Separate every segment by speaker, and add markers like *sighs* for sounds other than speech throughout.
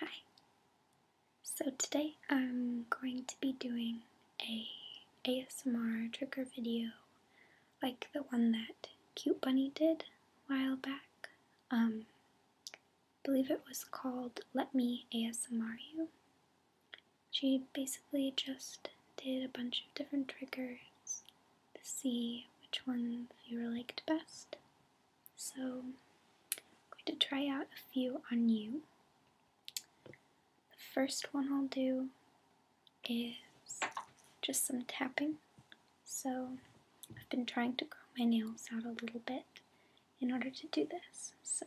Speaker 1: Hi. So today I'm going to be doing a ASMR trigger video like the one that Cute Bunny did a while back. Um believe it was called Let Me ASMR You. She basically just did a bunch of different triggers to see which ones you liked best. So I'm going to try out a few on you. The first one I'll do is just some tapping. So I've been trying to grow my nails out a little bit in order to do this. So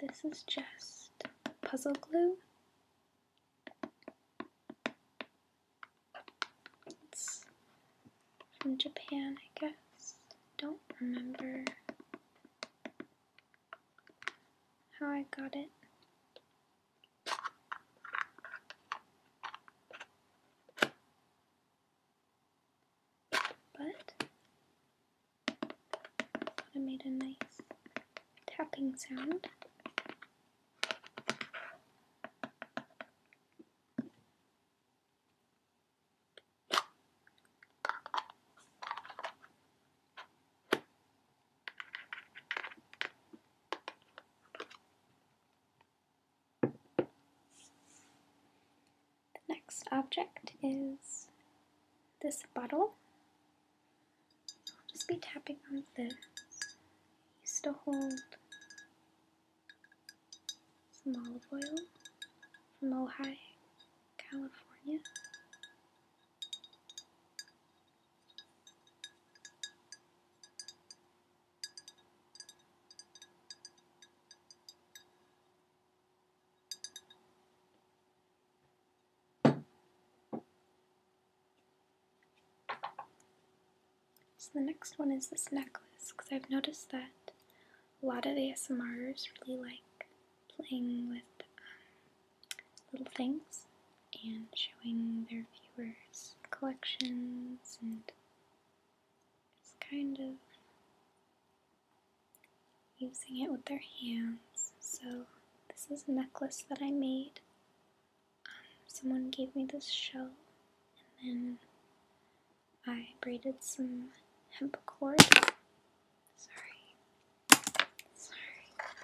Speaker 1: this is just puzzle glue it's from Japan, I guess. Don't remember how I got it. But I made a nice tapping sound. The next object is this bottle. just be tapping on the used to hold some olive oil from Ojai, California. So the next one is this necklace, because I've noticed that a lot of ASMRs really like playing with um, little things and showing their viewers collections and it's kind of using it with their hands. So this is a necklace that I made um, someone gave me this shell, and then I braided some hemp cord. Sorry, sorry.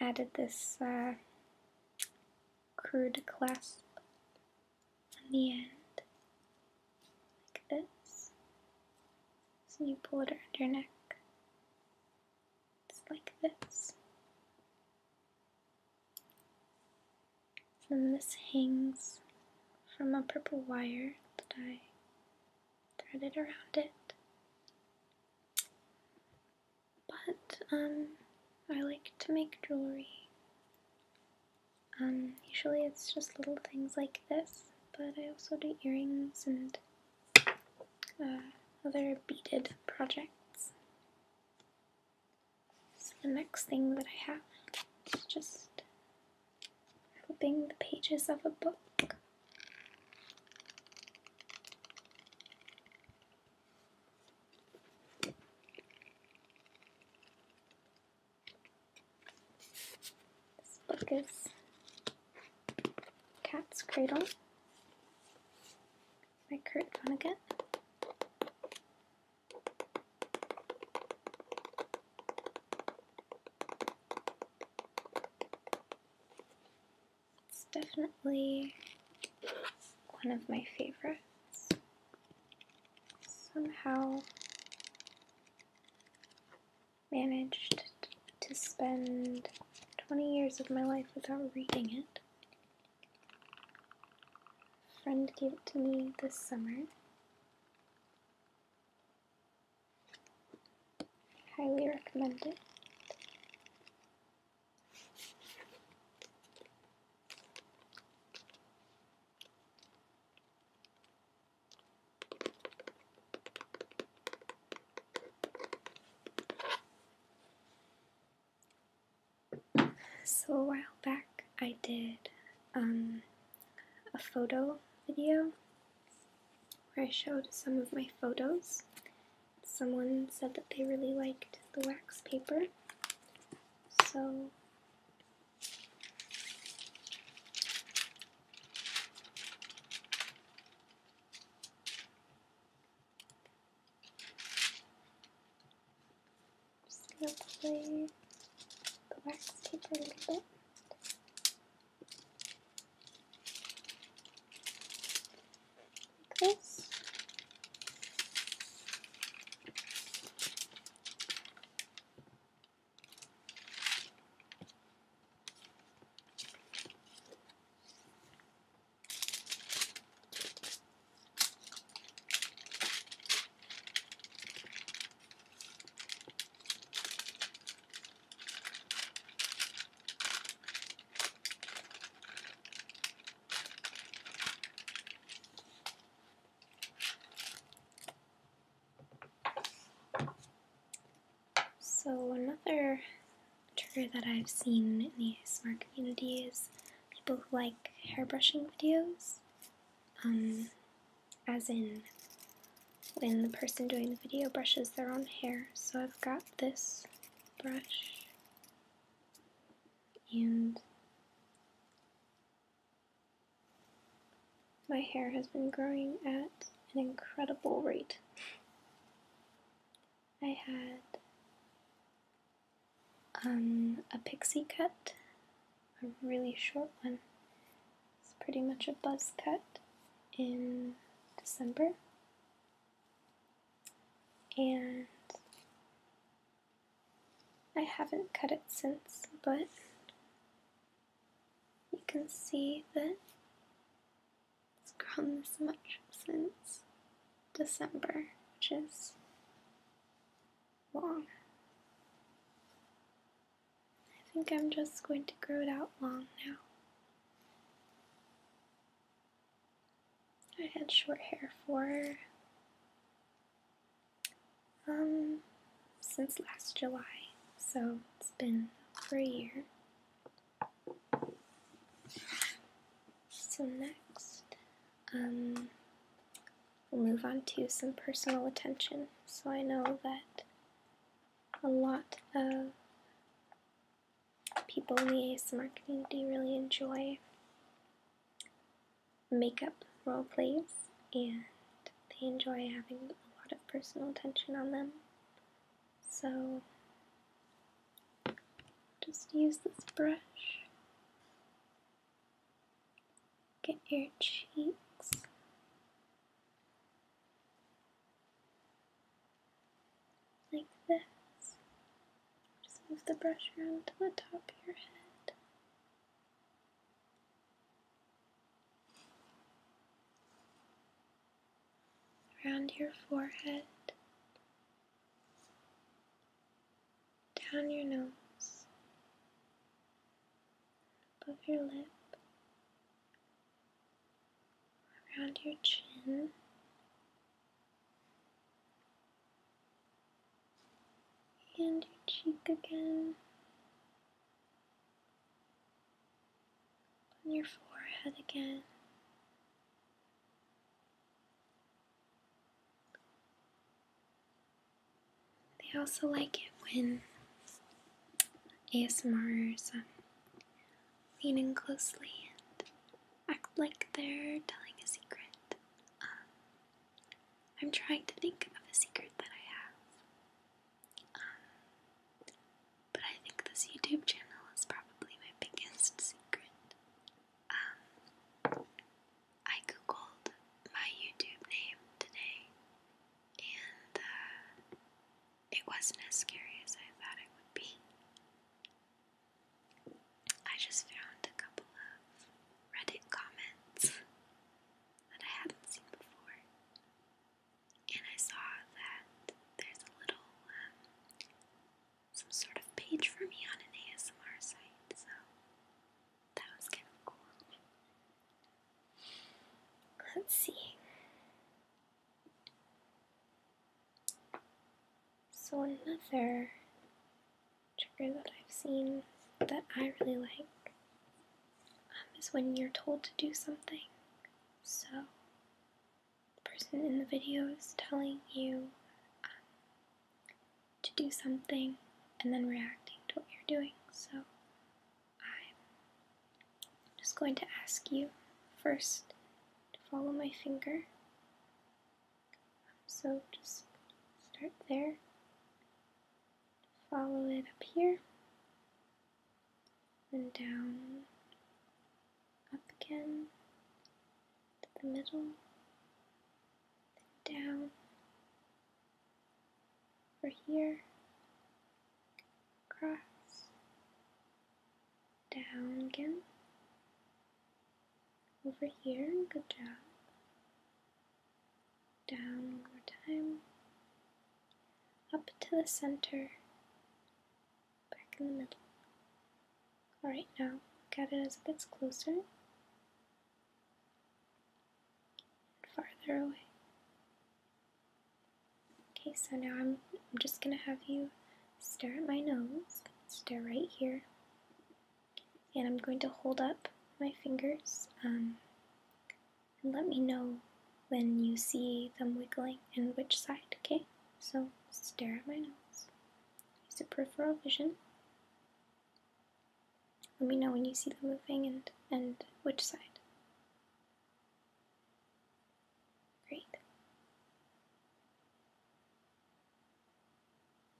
Speaker 1: Added this uh, crude clasp on the end, like this. So you pull it around your neck. It's like this. And this hangs from a purple wire that I threaded around it. But um, I like to make jewelry. Um, usually it's just little things like this, but I also do earrings and uh, other beaded projects. So the next thing that I have is just flipping the pages of a book. This book is Cat's Cradle. My current one again. It's definitely one of my favorites. Somehow managed to spend 20 years of my life without reading it friend gave it to me this summer. Highly recommend it. So a while back I did um, a photo video where I showed some of my photos. Someone said that they really liked the wax paper. So just gonna play the wax tape a little bit. Like this. So another trigger that I've seen in these smart communities people who like hair brushing videos. Um, as in, when the person doing the video brushes their own hair. So I've got this brush and my hair has been growing at an incredible rate. I had um, a pixie cut, a really short one. It's pretty much a buzz cut in December. And I haven't cut it since, but you can see that it's grown this much since December, which is long. I think I'm just going to grow it out long now. I had short hair for um since last July, so it's been for a year. So next um, we'll move on to some personal attention. So I know that a lot of people in the ASMR community really enjoy makeup role plays and they enjoy having a lot of personal attention on them. So just use this brush. Get your cheeks. Like this. Just move the brush around to the top of your head. around your forehead, down your nose, above your lip, around your chin. And your cheek again, on your forehead again, they also like it when ASMRs um, leaning closely and act like they're telling a secret. Um, I'm trying to think of a secret that I have, um, but I think this YouTube channel is probably my biggest secret. Um, I googled my YouTube name today, and uh, it wasn't as scary as I thought it would be. I just found a couple of Reddit comments that I hadn't seen before, and I saw that there's a little um, some sort of page for me on an ASMR site, so that was kind of cool. Let's see. So another trigger that I've seen that I really like um, is when you're told to do something. So the person in the video is telling you um, to do something and then reacting to what you're doing. So I'm just going to ask you first to follow my finger. Um, so just start there, follow it up here, and down, up again, the middle, down over here, Cross. down again, over here, good job, down one more time, up to the center, back in the middle. Alright, now look it as it gets closer farther away. Okay, so now I'm, I'm just going to have you stare at my nose, stare right here, and I'm going to hold up my fingers um, and let me know when you see them wiggling and which side, okay? So stare at my nose. Use the peripheral vision. Let me know when you see the moving and, and which side. Great.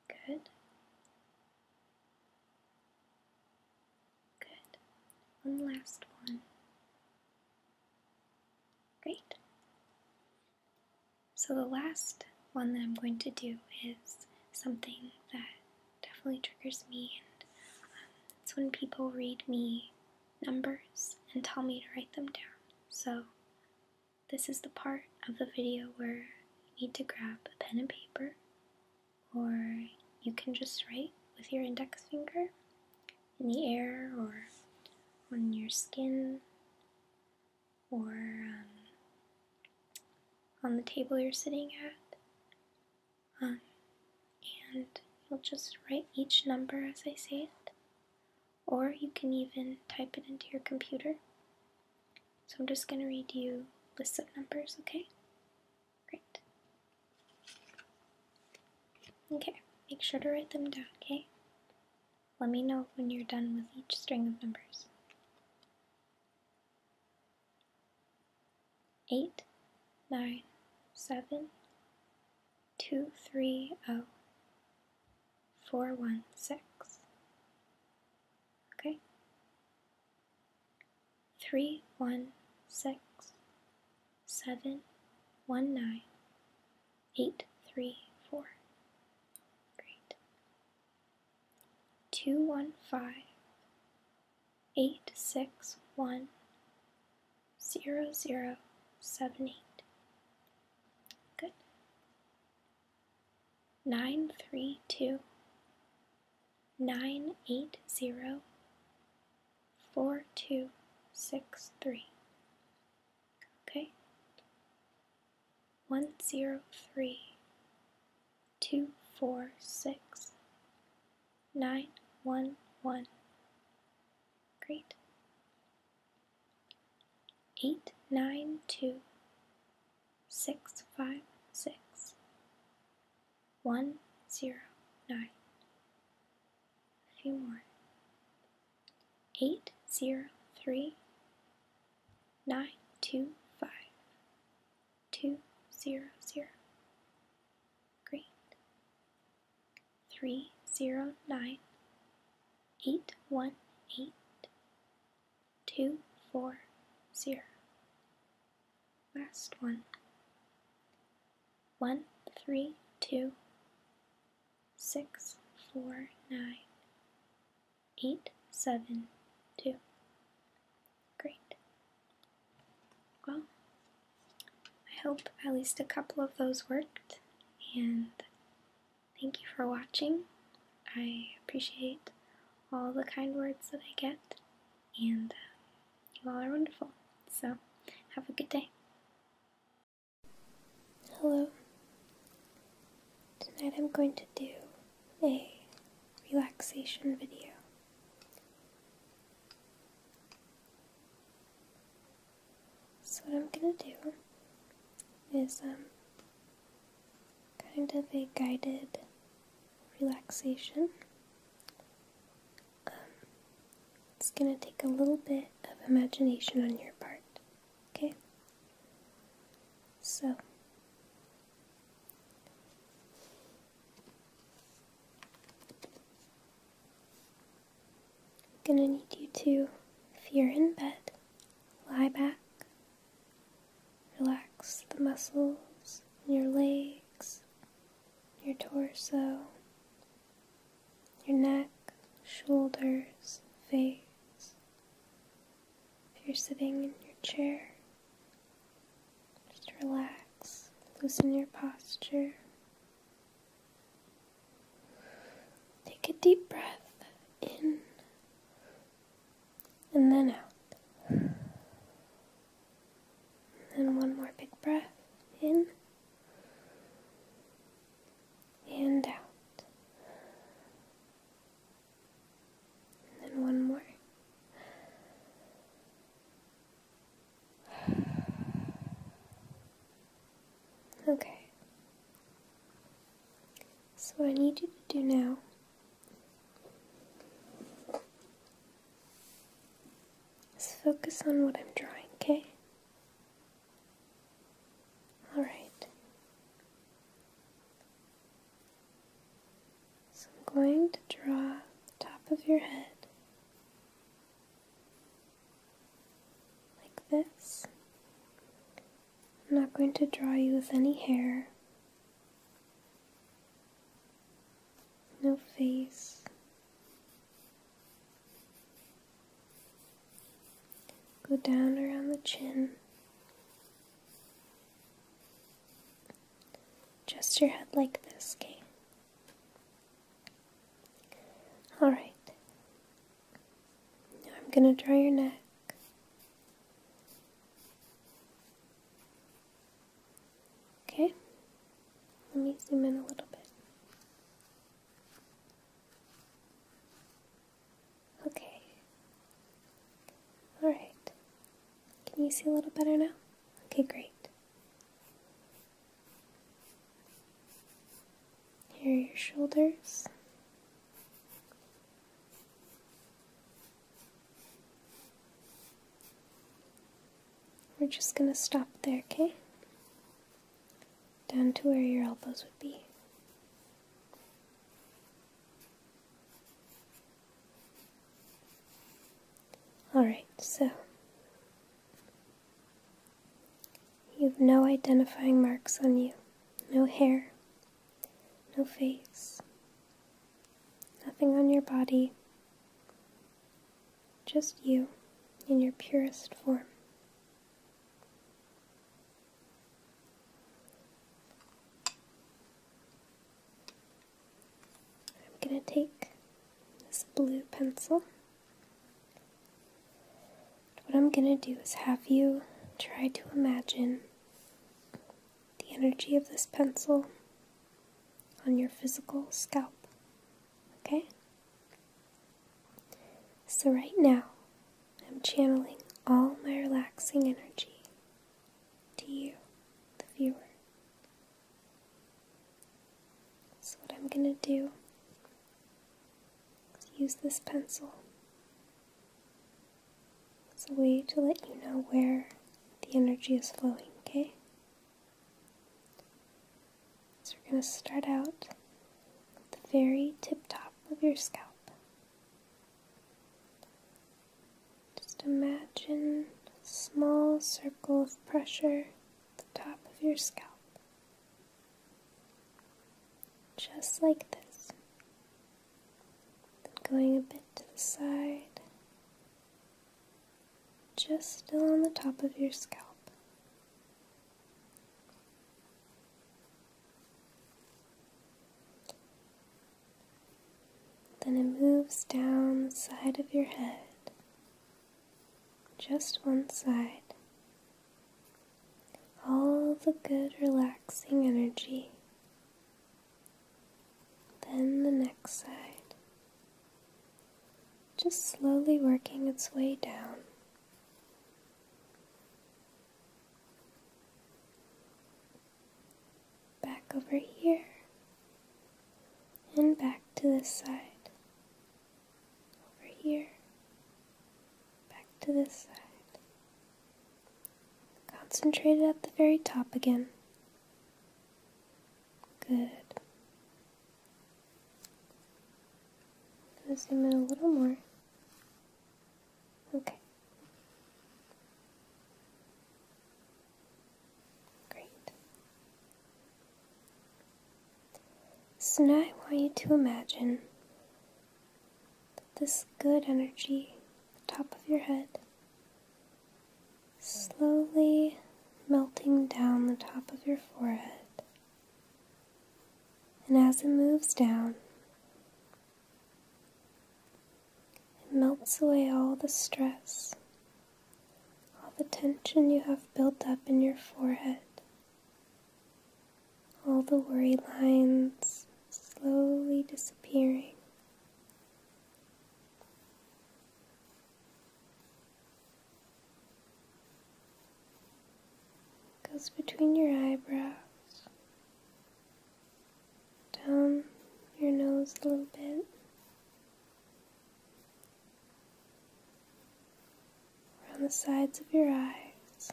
Speaker 1: Good. Good. One last one. Great. So, the last one that I'm going to do is something that definitely triggers me, and um, it's when people read me numbers and tell me to write them down. So, this is the part of the video where you need to grab a pen and paper, or you can just write with your index finger in the air or on your skin or um, on the table you're sitting at. Um, and you'll just write each number as I say it, or you can even type it into your computer. So I'm just going to read you lists of numbers, okay? Great. Okay, make sure to write them down, okay? Let me know when you're done with each string of numbers eight nine seven two three oh four one six. Okay. Three one six seven one nine eight three four. Great two one five eight six one zero zero seven eight. Good. Nine three two nine eight zero four two six three. Okay one zero three two four six nine one one. Great. Eight nine two six five six one zero nine. A few more. Eight zero three nine two five two zero zero green three zero nine eight one eight two four zero last one one three two six four nine eight, seven, two. Great. Well, I hope at least a couple of those worked, and thank you for watching. I appreciate all the kind words that I get, and uh, you all are wonderful. So, have a good day. Hello. Tonight I'm going to do a relaxation video. So what I'm gonna do is um kind of a guided relaxation. Um, it's gonna take a little bit of imagination on your part, okay? So I'm gonna need you to, if you're in bed, lie back, relax the muscles in your legs, your torso, your neck, shoulders, face, if you're sitting in your chair, just relax, loosen your posture. Take a deep breath in and then out. And one more big breath in and out. And then one more. *sighs* Okay. So, I need you to do now is focus on what I'm drawing, okay? Alright. So I'm going to draw the top of your head like this. I'm not going to draw you with any hair, no face. Go down around the chin. Just your head like this, okay? Alright. Now I'm going to draw your neck. Okay? Let me zoom in a little bit. Okay, all right. Can you see a little better now? Okay, great. Here are your shoulders. We're just going to stop there, okay? Down to where your elbows would be. Alright, so you have no identifying marks on you, no hair, no face, nothing on your body, just you in your purest form. I'm going to take this blue pencil. What I'm going to do is have you try to imagine the energy of this pencil on your physical scalp. Okay? So, right now, I'm channeling all my relaxing energy to you, the viewer. So, what I'm going to do is use this pencil It's a way to let you know where the energy is flowing, okay? So, we're going to start out the very tip top of your scalp. Just imagine a small circle of pressure at the top of your scalp. Just like this. Then going a bit to the side. Just still on the top of your scalp. Then it moves down the side of your head, just one side. All the good, relaxing energy. Then the next side, just slowly working its way down back over here, and back to this side, over here, back to this side. Concentrate it at the very top again. Good. going to zoom in a little more. Okay. Great. So now I want you to imagine this good energy, at the top of your head, slowly melting down the top of your forehead. And as it moves down, it melts away all the stress, all the tension you have built up in your forehead. All the worry lines slowly disappearing. goes between your eyebrows down your nose a little bit. Around the sides of your eyes,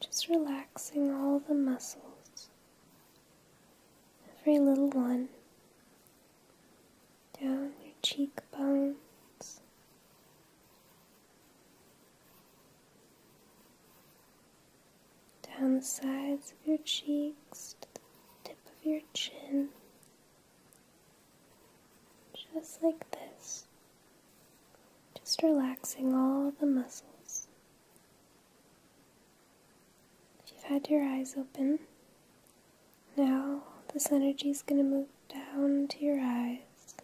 Speaker 1: just relaxing all the muscles, every little one, down your cheekbones down the sides of your cheeks to the tip of your chin, just like this, just relaxing all the muscles. If you've had your eyes open, now this energy is going to move down to your eyes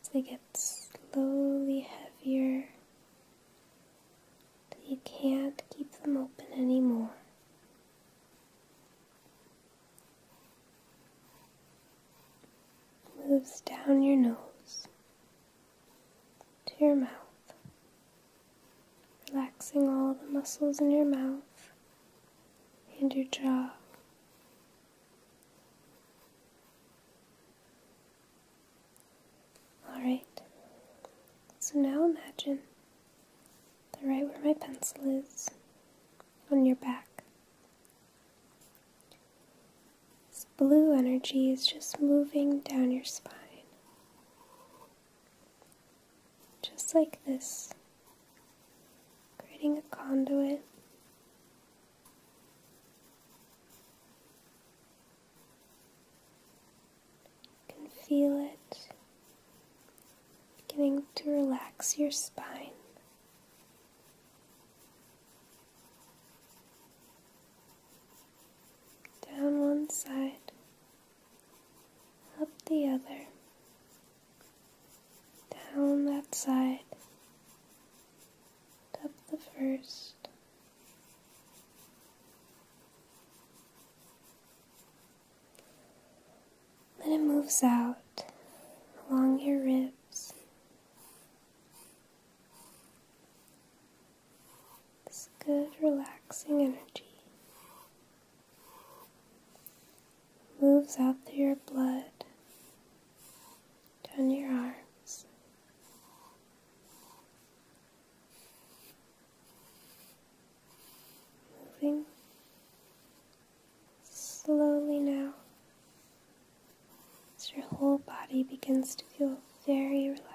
Speaker 1: as they get slowly heavier you can't keep them open anymore. moves down your nose to your mouth, relaxing all the muscles in your mouth and your jaw. Alright, so now imagine the right where my pencil is on your back, this blue energy is just moving down your spine, just like this, creating a conduit. You can feel it beginning to relax your spine. Down one side, up the other, down that side, up the first. Then it moves out along your ribs. This good, relaxing energy moves out through your blood, down your arms, Moving slowly now as your whole body begins to feel very relaxed.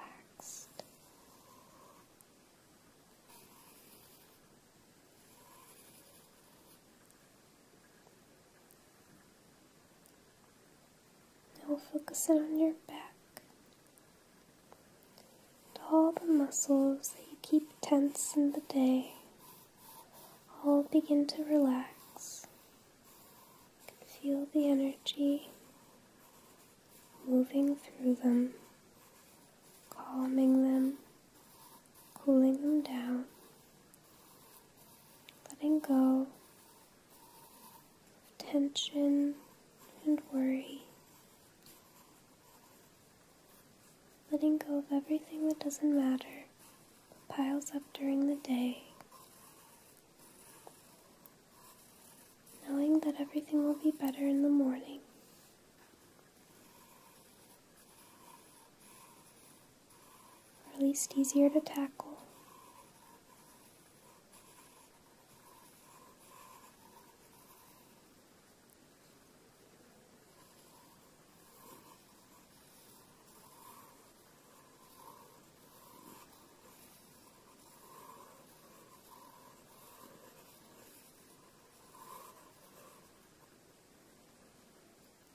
Speaker 1: we'll focus in on your back all the muscles that you keep tense in the day all begin to relax. You feel the energy moving through them, calming them, cooling them down, letting go tension and worry. Letting go of everything that doesn't matter piles up during the day. Knowing that everything will be better in the morning. Or at least easier to tackle.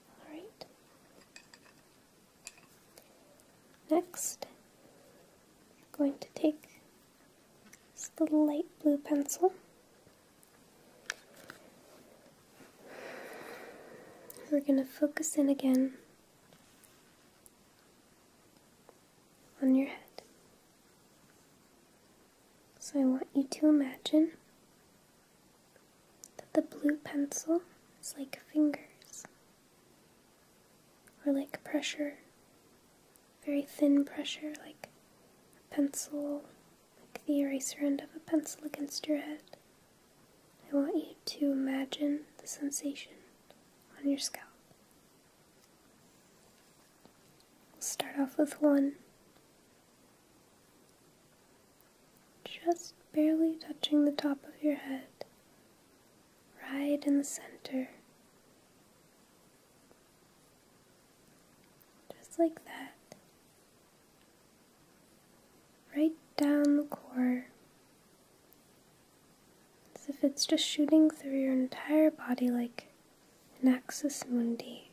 Speaker 1: All right. Next, I'm going to take it's the light blue pencil. We're going to focus in again on your head. So I want you to imagine that the blue pencil is like fingers or like pressure, very thin pressure, like a pencil, like the eraser end of a pencil against your head. I want you to imagine the sensation on your scalp. We'll start off with one. Just barely touching the top of your head, right in the center. Just like that. Right down the core. As if it's just shooting through your entire body like an mundi.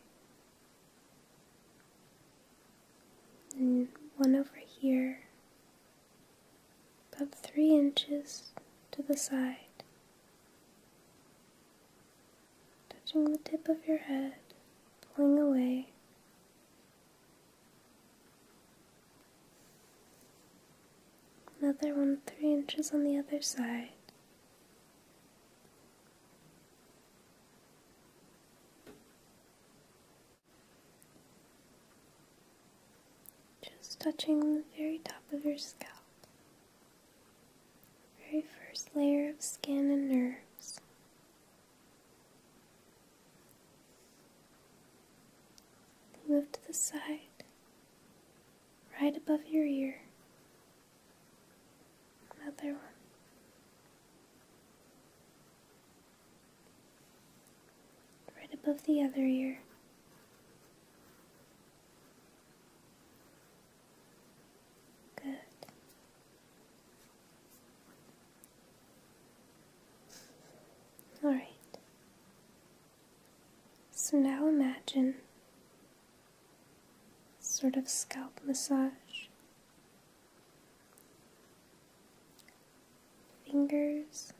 Speaker 1: And one over here, about three inches to the side touching the tip of your head, pulling away. Another one, three inches on the other side. Just touching the very top of your scalp very first layer of skin and nerves. Lift to the side, right above your ear. Another one. Right above the other ear. Good. All right. So now imagine sort of scalp massage. Fingers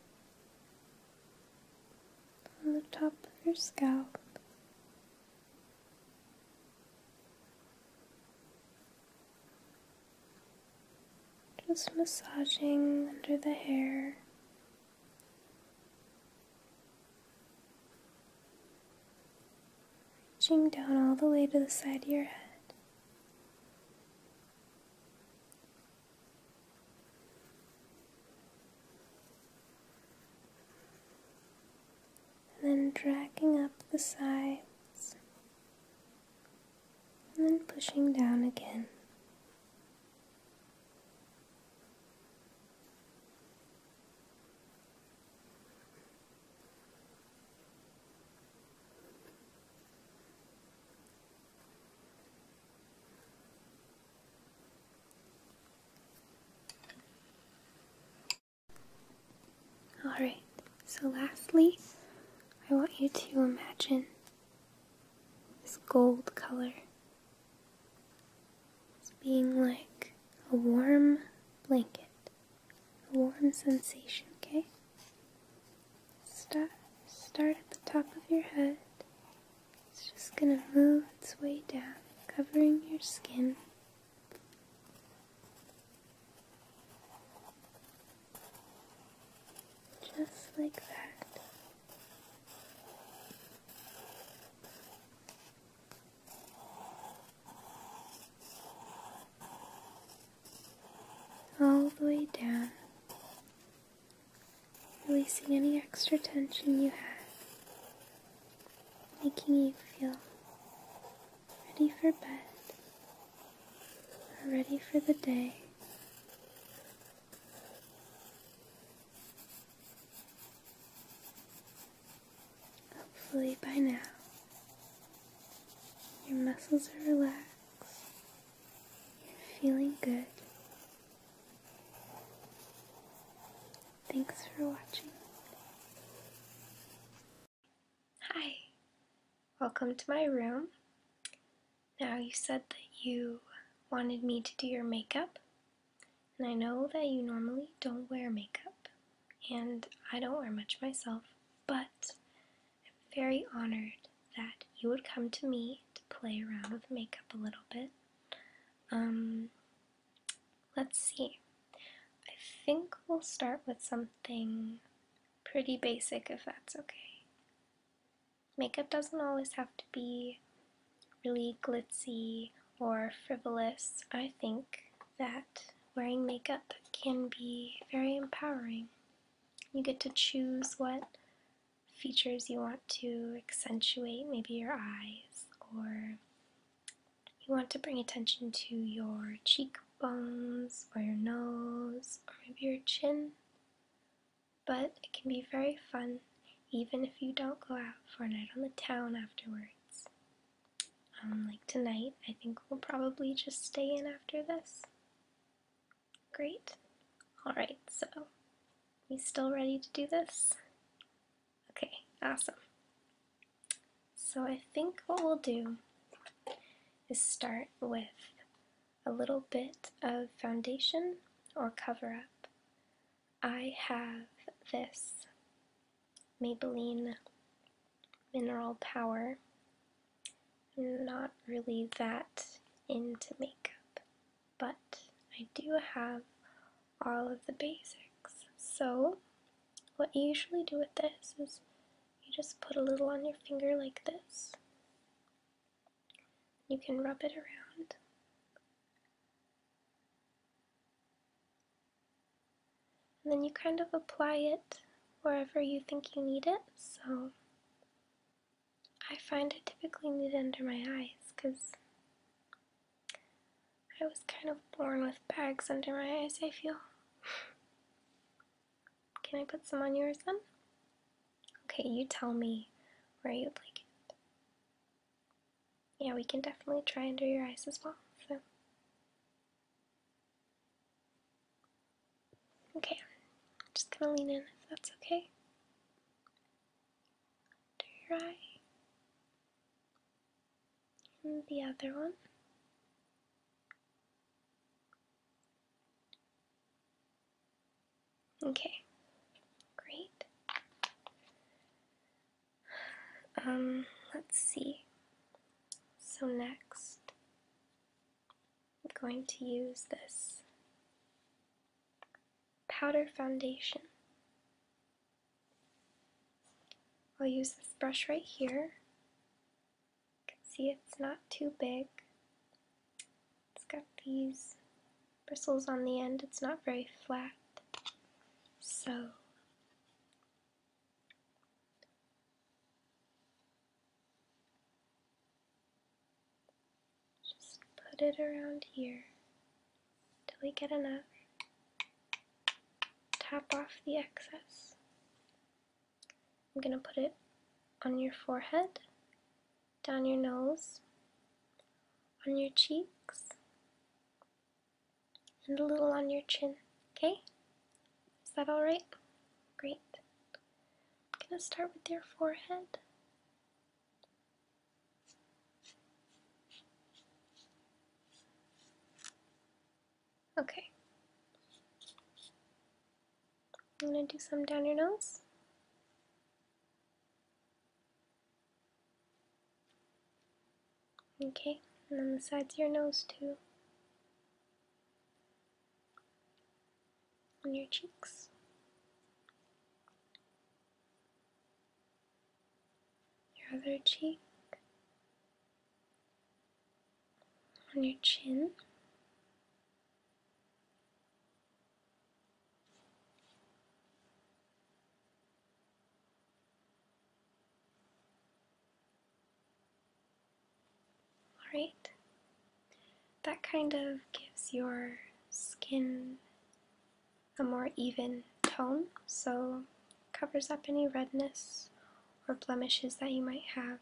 Speaker 1: on the top of your scalp. Just massaging under the hair. Reaching down all the way to the side of your head. And then dragging up the sides, and then pushing down again. Alright, so lastly, I want you to imagine this gold color as being like a warm blanket, a warm sensation, okay? Start, start at the top of your head it's just going to move its way down, covering your skin. Just like that. All the way down releasing any extra tension you have, making you feel ready for bed ready for the day. Hopefully, by now, your muscles are relaxed, you're feeling good. Thanks for watching. Hi, welcome to my room. Now you said that you wanted me to do your makeup, and I know that you normally don't wear makeup, and I don't wear much myself, but I'm very honored that you would come to me to play around with makeup a little bit. Um, Let's see. I think we'll start with something pretty basic if that's okay. Makeup doesn't always have to be really glitzy or frivolous. I think that wearing makeup can be very empowering. You get to choose what features you want to accentuate, maybe your eyes or you want to bring attention to your cheekbones or your nose or maybe your chin, but it can be very fun even if you don't go out for a night on the town afterwards. Um, like tonight, I think we'll probably just stay in after this. Great. Alright, so we still ready to do this? Okay, awesome. So I think what we'll do is start with a little bit of foundation or cover up. I have this Maybelline Mineral Power. I'm not really that into makeup, but I do have all of the basics. So, what you usually do with this is you just put a little on your finger like this. You can rub it around. And then you kind of apply it wherever you think you need it. So, I find I typically need it under my eyes because I was kind of born with bags under my eyes, I feel. Can I put some on yours then? Okay, you tell me where you'd like it. Yeah, we can definitely try under your eyes as well, so. Okay, just gonna lean in if that's okay. Under your eye and the other one. Okay, great. Um, let's see. So next, I'm going to use this powder foundation. I'll use this brush right here. You can see it's not too big. It's got these bristles on the end. It's not very flat. So just put it around here till we get enough. Tap off the excess. I'm going to put it on your forehead, down your nose, on your cheeks, and a little on your chin. Okay? Is that alright? Great. I'm going to start with your forehead. Okay. I'm going to do some down your nose. Okay, and on the sides of your nose too. On your cheeks your other cheek, on your chin. Alright, that kind of gives your skin a more even tone, so covers up any redness or blemishes that you might have.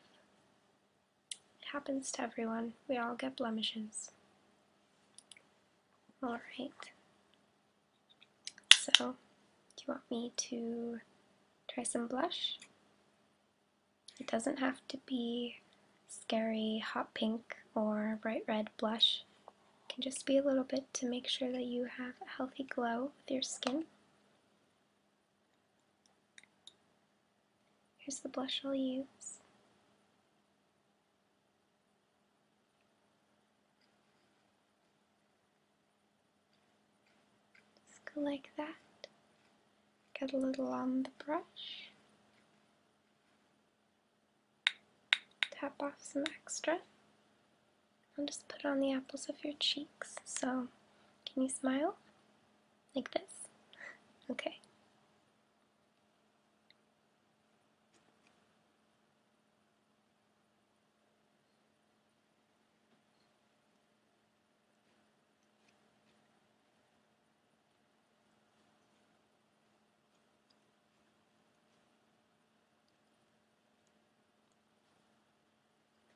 Speaker 1: It happens to everyone. We all get blemishes. Alright. So, do you want me to try some blush? It doesn't have to be scary hot pink or bright red blush can just be a little bit to make sure that you have a healthy glow with your skin. Here's the blush I'll use. Just go like that. Get a little on the brush tap off some extra and just put on the apples of your cheeks. So, can you smile? Like this? *laughs* Okay.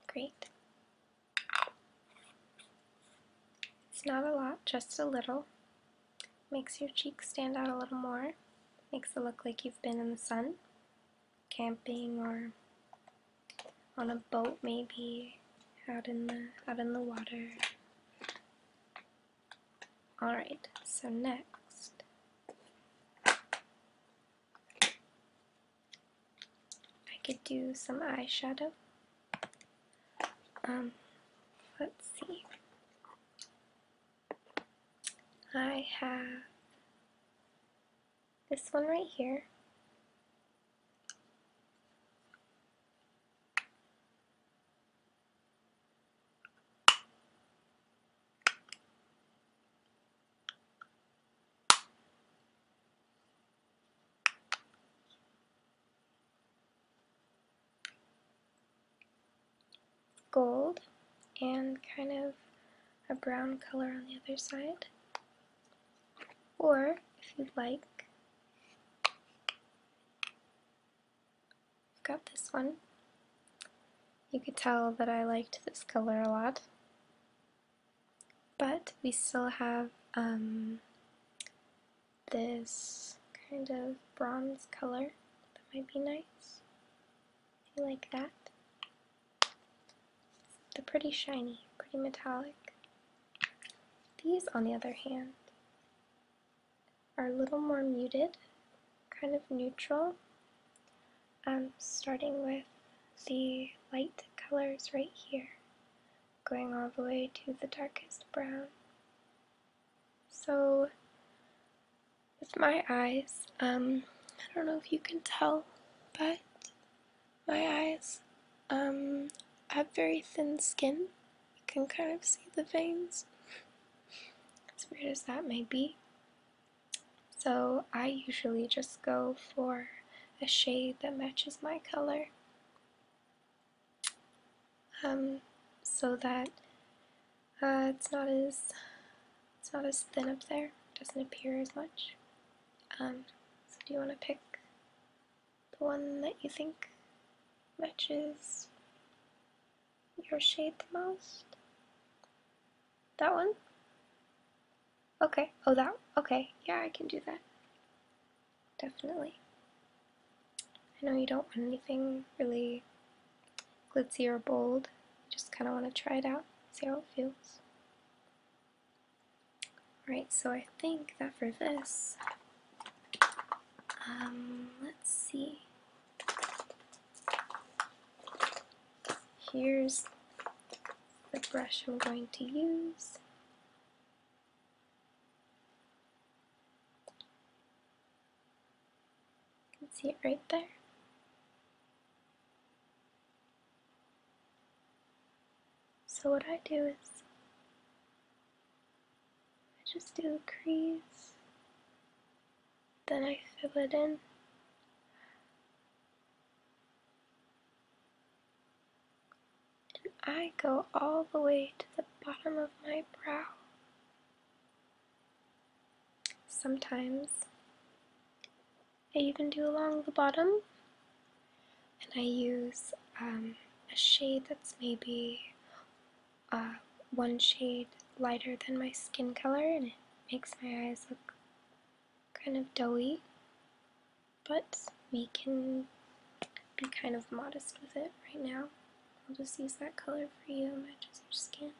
Speaker 1: Great. It's not a lot, just a little. Makes your cheeks stand out a little more. Makes it look like you've been in the sun, camping or on a boat maybe, out in the out in the water. Alright, so next I could do some eyeshadow. Um, let's see. I have this one right here gold and kind of a brown color on the other side. Or, if you'd like, I've got this one. You could tell that I liked this color a lot. But we still have um, this kind of bronze color that might be nice. You like that. They're pretty shiny, pretty metallic. These, on the other hand, are a little more muted kind of neutral. i um, starting with the light colors right here, going all the way to the darkest brown. So, with my eyes, um, I don't know if you can tell, but my eyes, um, have very thin skin. You can kind of see the veins, *laughs* as weird as that may be. So I usually just go for a shade that matches my color um, so that uh, it's not as it's not as thin up there, doesn't appear as much. Um, so do you want to pick the one that you think matches your shade the most? That one? Okay. Oh, that? Okay. Yeah, I can do that. Definitely. I know you don't want anything really glitzy or bold. You just kind of want to try it out, see how it feels. Alright, so I think that for this, um, let's see. Here's the brush I'm going to use. You can see it right there. So what I do is I just do the crease, then I fill it in. And I go all the way to the bottom of my brow. Sometimes I even do along the bottom, and I use um, a shade that's maybe uh, one shade lighter than my skin color, and it makes my eyes look kind of doughy, but we can be kind of modest with it right now. we will just use that color for you, matches your skin.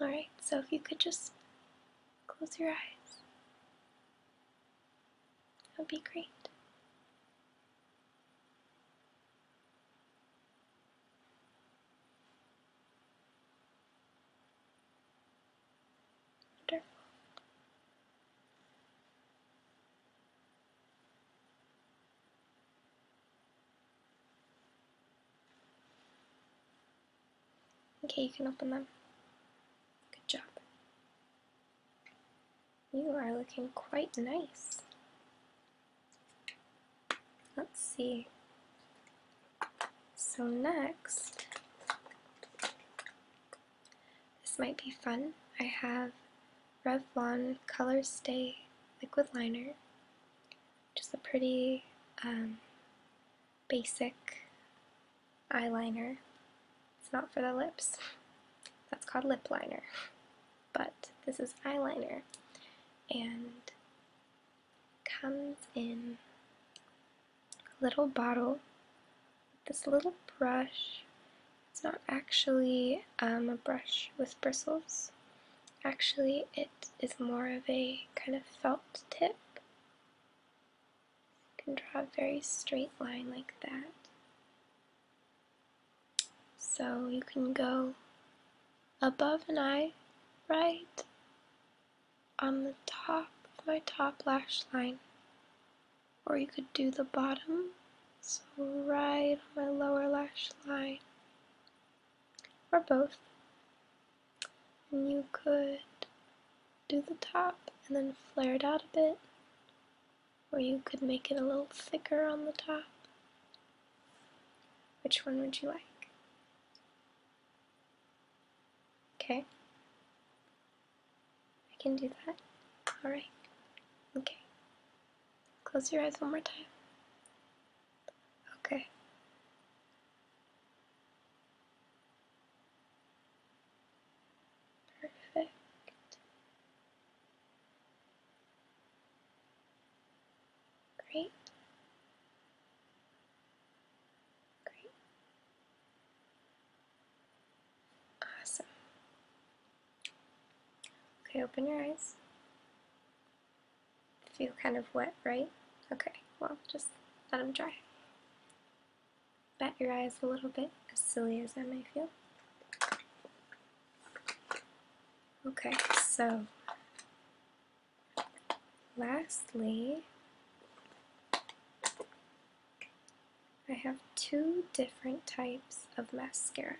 Speaker 1: Alright, so if you could just close your eyes, that would be great. Wonderful. Okay, you can open them. Good job. You are looking quite nice. Let's see. So next, this might be fun. I have Revlon Color Stay Liquid Liner, just a pretty um, basic eyeliner. It's not for the lips. That's called lip liner. But this is eyeliner. And comes in a little bottle with this little brush. It's not actually um, a brush with bristles. Actually, it is more of a kind of felt tip. You can draw a very straight line like that. So you can go above an eye, right on the top of my top lash line. Or you could do the bottom, so right on my lower lash line. Or both. And you could do the top and then flare it out a bit. Or you could make it a little thicker on the top. Which one would you like? Okay. I can do that. Alright. Okay. Close your eyes one more time. Okay. Perfect. Great. Great. Awesome. Okay, open your eyes. Feel kind of wet, right? Okay, well, just let them dry. Bat your eyes a little bit, as silly as I may feel. Okay, so Lastly, I have two different types of mascara.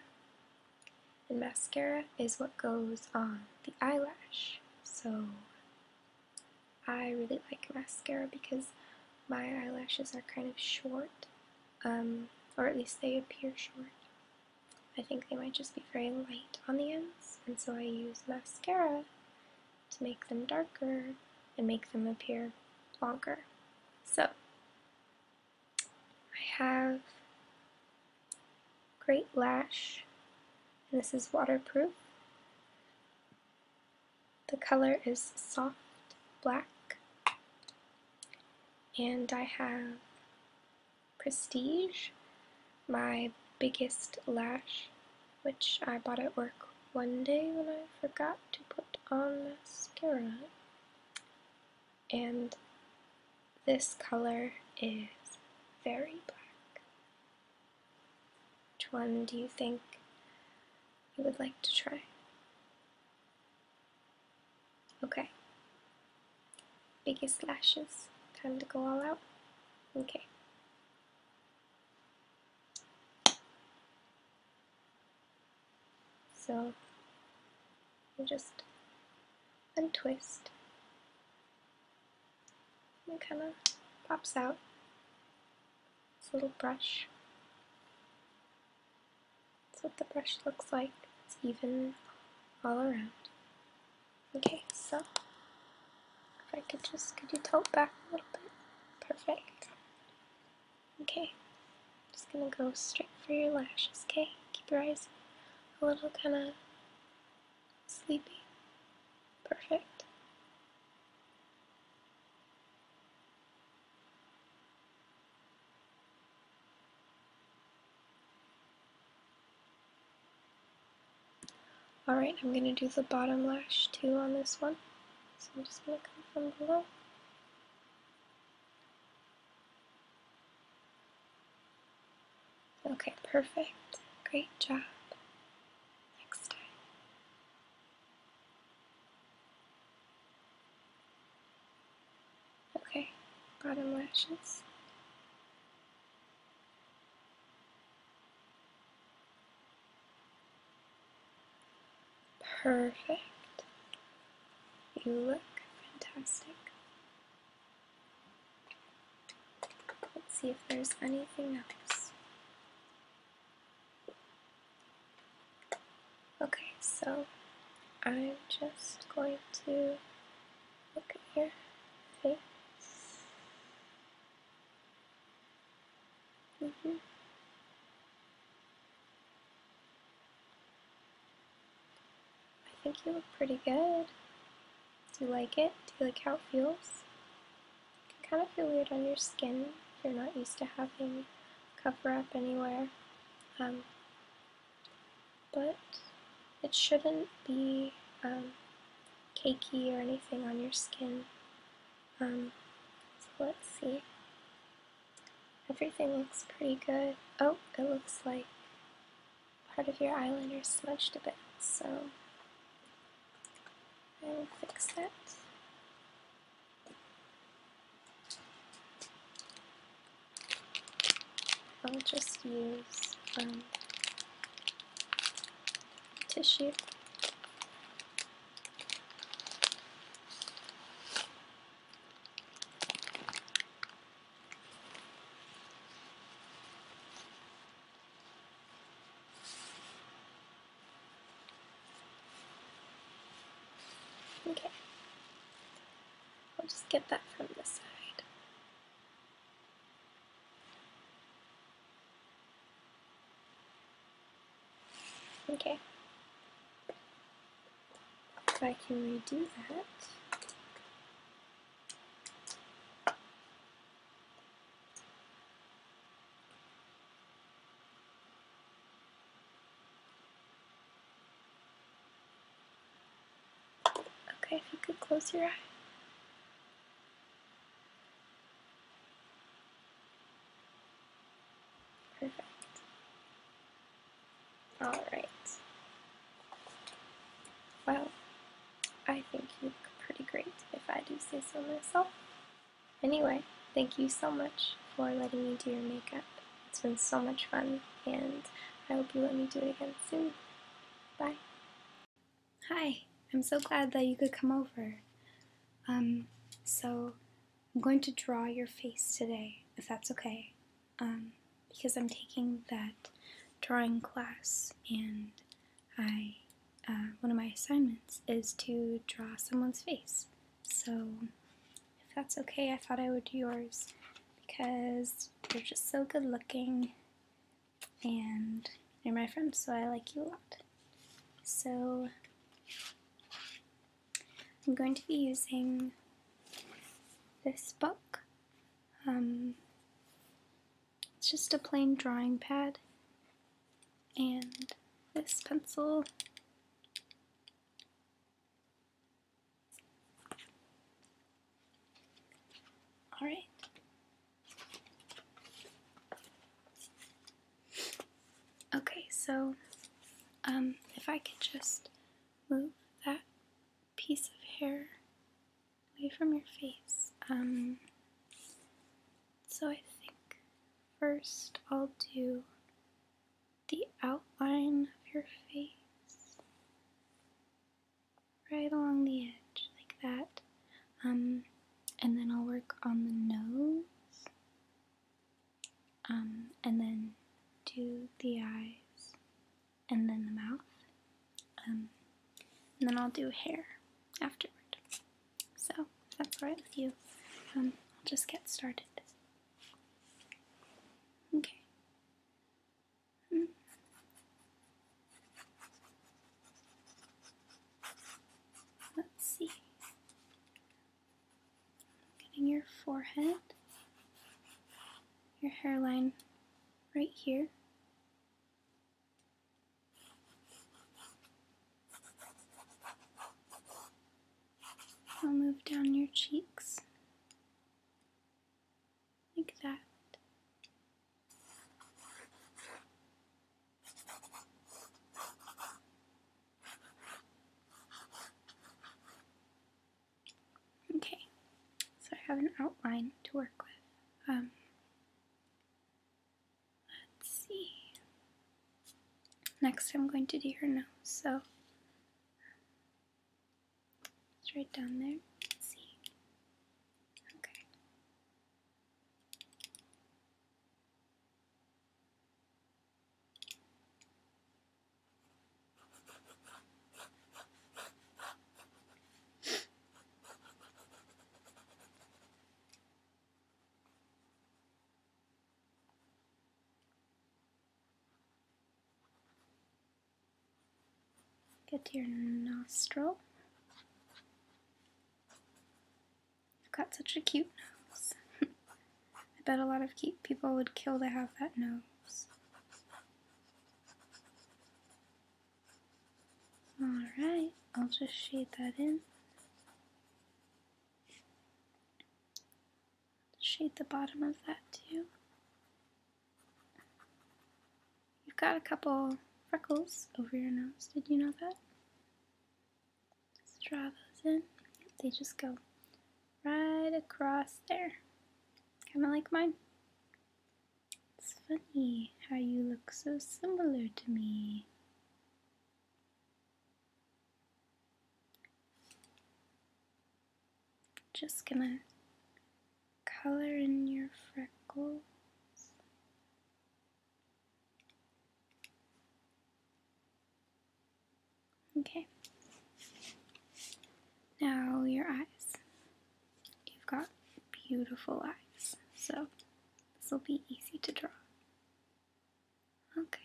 Speaker 1: And mascara is what goes on the eyelash. So I really like mascara because my eyelashes are kind of short, um, or at least they appear short. I think they might just be very light on the ends and so I use mascara to make them darker and make them appear longer. So, I have Great Lash, and this is waterproof. The color is soft black, and I have Prestige, my biggest lash, which I bought at work one day when I forgot to put on mascara. And this color is very black. Which one do you think you would like to try? Okay. Biggest lashes. Time to go all out. Okay. So you just untwist and it kind of pops out this little brush. That's what the brush looks like. It's even all around. Okay, so if I could just, could you tilt back a little bit? Perfect. Okay, I'm just gonna go straight for your lashes, okay? Keep your eyes a little kind of sleepy. Perfect. Alright, I'm going to do the bottom lash too on this one. So I'm just going to come from below. Okay, perfect. Great job. Next time. Okay, bottom lashes. Perfect. You look fantastic. Let's see if there's anything else. Okay, so I'm just going to look at your face. Mm-hmm. I think you look pretty good. Do you like it? Do you like how it feels? It can kind of feel weird on your skin if you're not used to having cover up anywhere. Um, but it shouldn't be um, cakey or anything on your skin. Um, so let's see. Everything looks pretty good. Oh, it looks like part of your eyeliner smudged a bit, so I will fix that. I'll just use um, tissue. Okay, I'll just get that from the side. Okay. If I can redo that. Okay, if you could close your eye. Perfect. Alright. Well, I think you look pretty great, if I do say so myself. Anyway, thank you so much for letting me do your makeup. It's been so much fun, and I hope you let me do it again soon. Bye. Hi, I'm so glad that you could come over. Um, so I'm going to draw your face today, if that's okay. Um, because I'm taking that drawing class and I, uh, one of my assignments is to draw someone's face. So if that's okay, I thought I would do yours because you are just so good looking and you're my friend, so I like you a lot. So I'm going to be using this book. Um, it's just a plain drawing pad and this pencil. Alright, Okay, so um, if I could just move that piece of hair away from your face. Um, so I think first I'll do the outline of your face right along the edge like that. Um, and then I'll work on the nose, um, and then do the eyes, and then the mouth, um, and then I'll do hair afterward. So, that's alright with you, um, I'll just get started. Okay. Hmm. Let's see. Getting your forehead, your hairline right here. I'll move down your cheeks like that. Okay, so I have an outline to work with. Um, let's see. Next, I'm going to do her nose. So, it's right down there. see. Okay. Get to your nostril you have got such a cute nose. *laughs* I bet a lot of cute people would kill to have that nose. Alright, I'll just shade that in. Shade the bottom of that too. You've got a couple freckles over your nose, did you know that? Let's draw those in. they just go right across there. Kind of like mine. It's funny how you look so similar to me. Just gonna color in your freckles Okay. Now your eyes. You've got beautiful eyes, so this will be easy to draw. Okay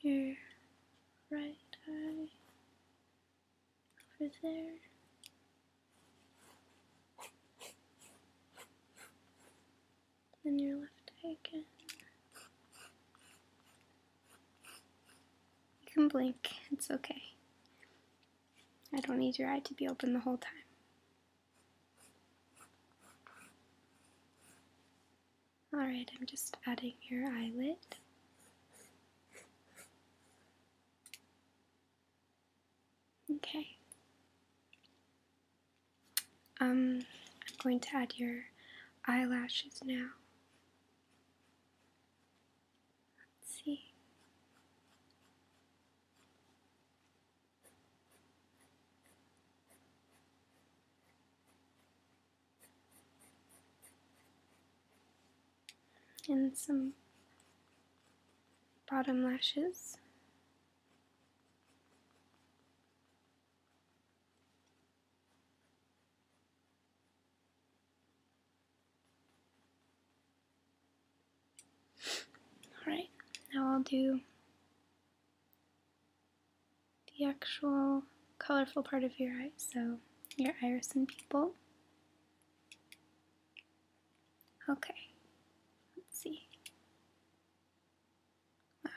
Speaker 1: your right eye over there. Then your left eye again. You can blink, it's okay. I don't need your eye to be open the whole time. Alright, I'm just adding your eyelid. Okay. Um, I'm going to add your eyelashes now. see and some bottom lashes. Alright, now I'll do the actual colorful part of your eyes, so your iris and pupil. Okay, let's see. Wow.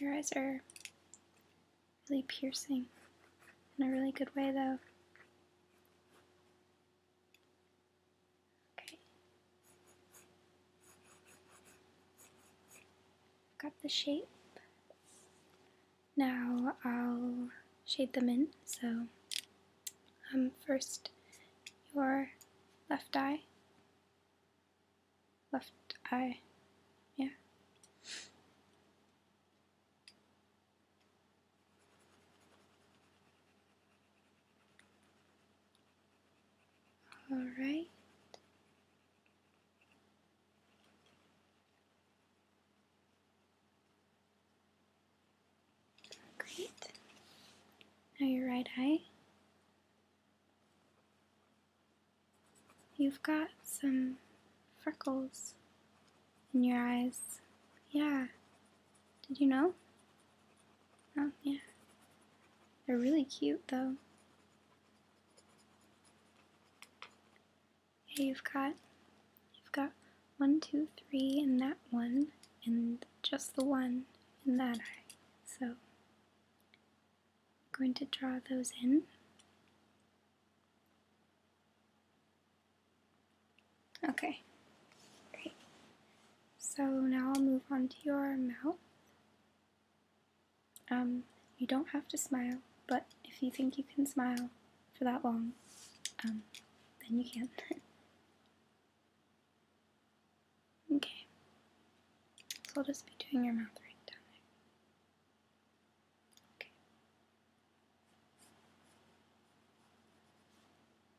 Speaker 1: Your eyes are really piercing in a really good way though. Okay. got the shape. Now I'll shade them in. So, um, first your left eye. Left eye. Yeah. All right. Great. Now your right eye. You've got some freckles in your eyes. Yeah. Did you know? Oh, yeah. They're really cute, though. Hey, you've got, you've got one, two, three and that one, and just the one in that eye. So, I'm going to draw those in. Okay, great. So now I'll move on to your mouth. Um, you don't have to smile, but if you think you can smile for that long, um, then you can. *laughs* okay, so I'll just be doing your mouth right now. Okay.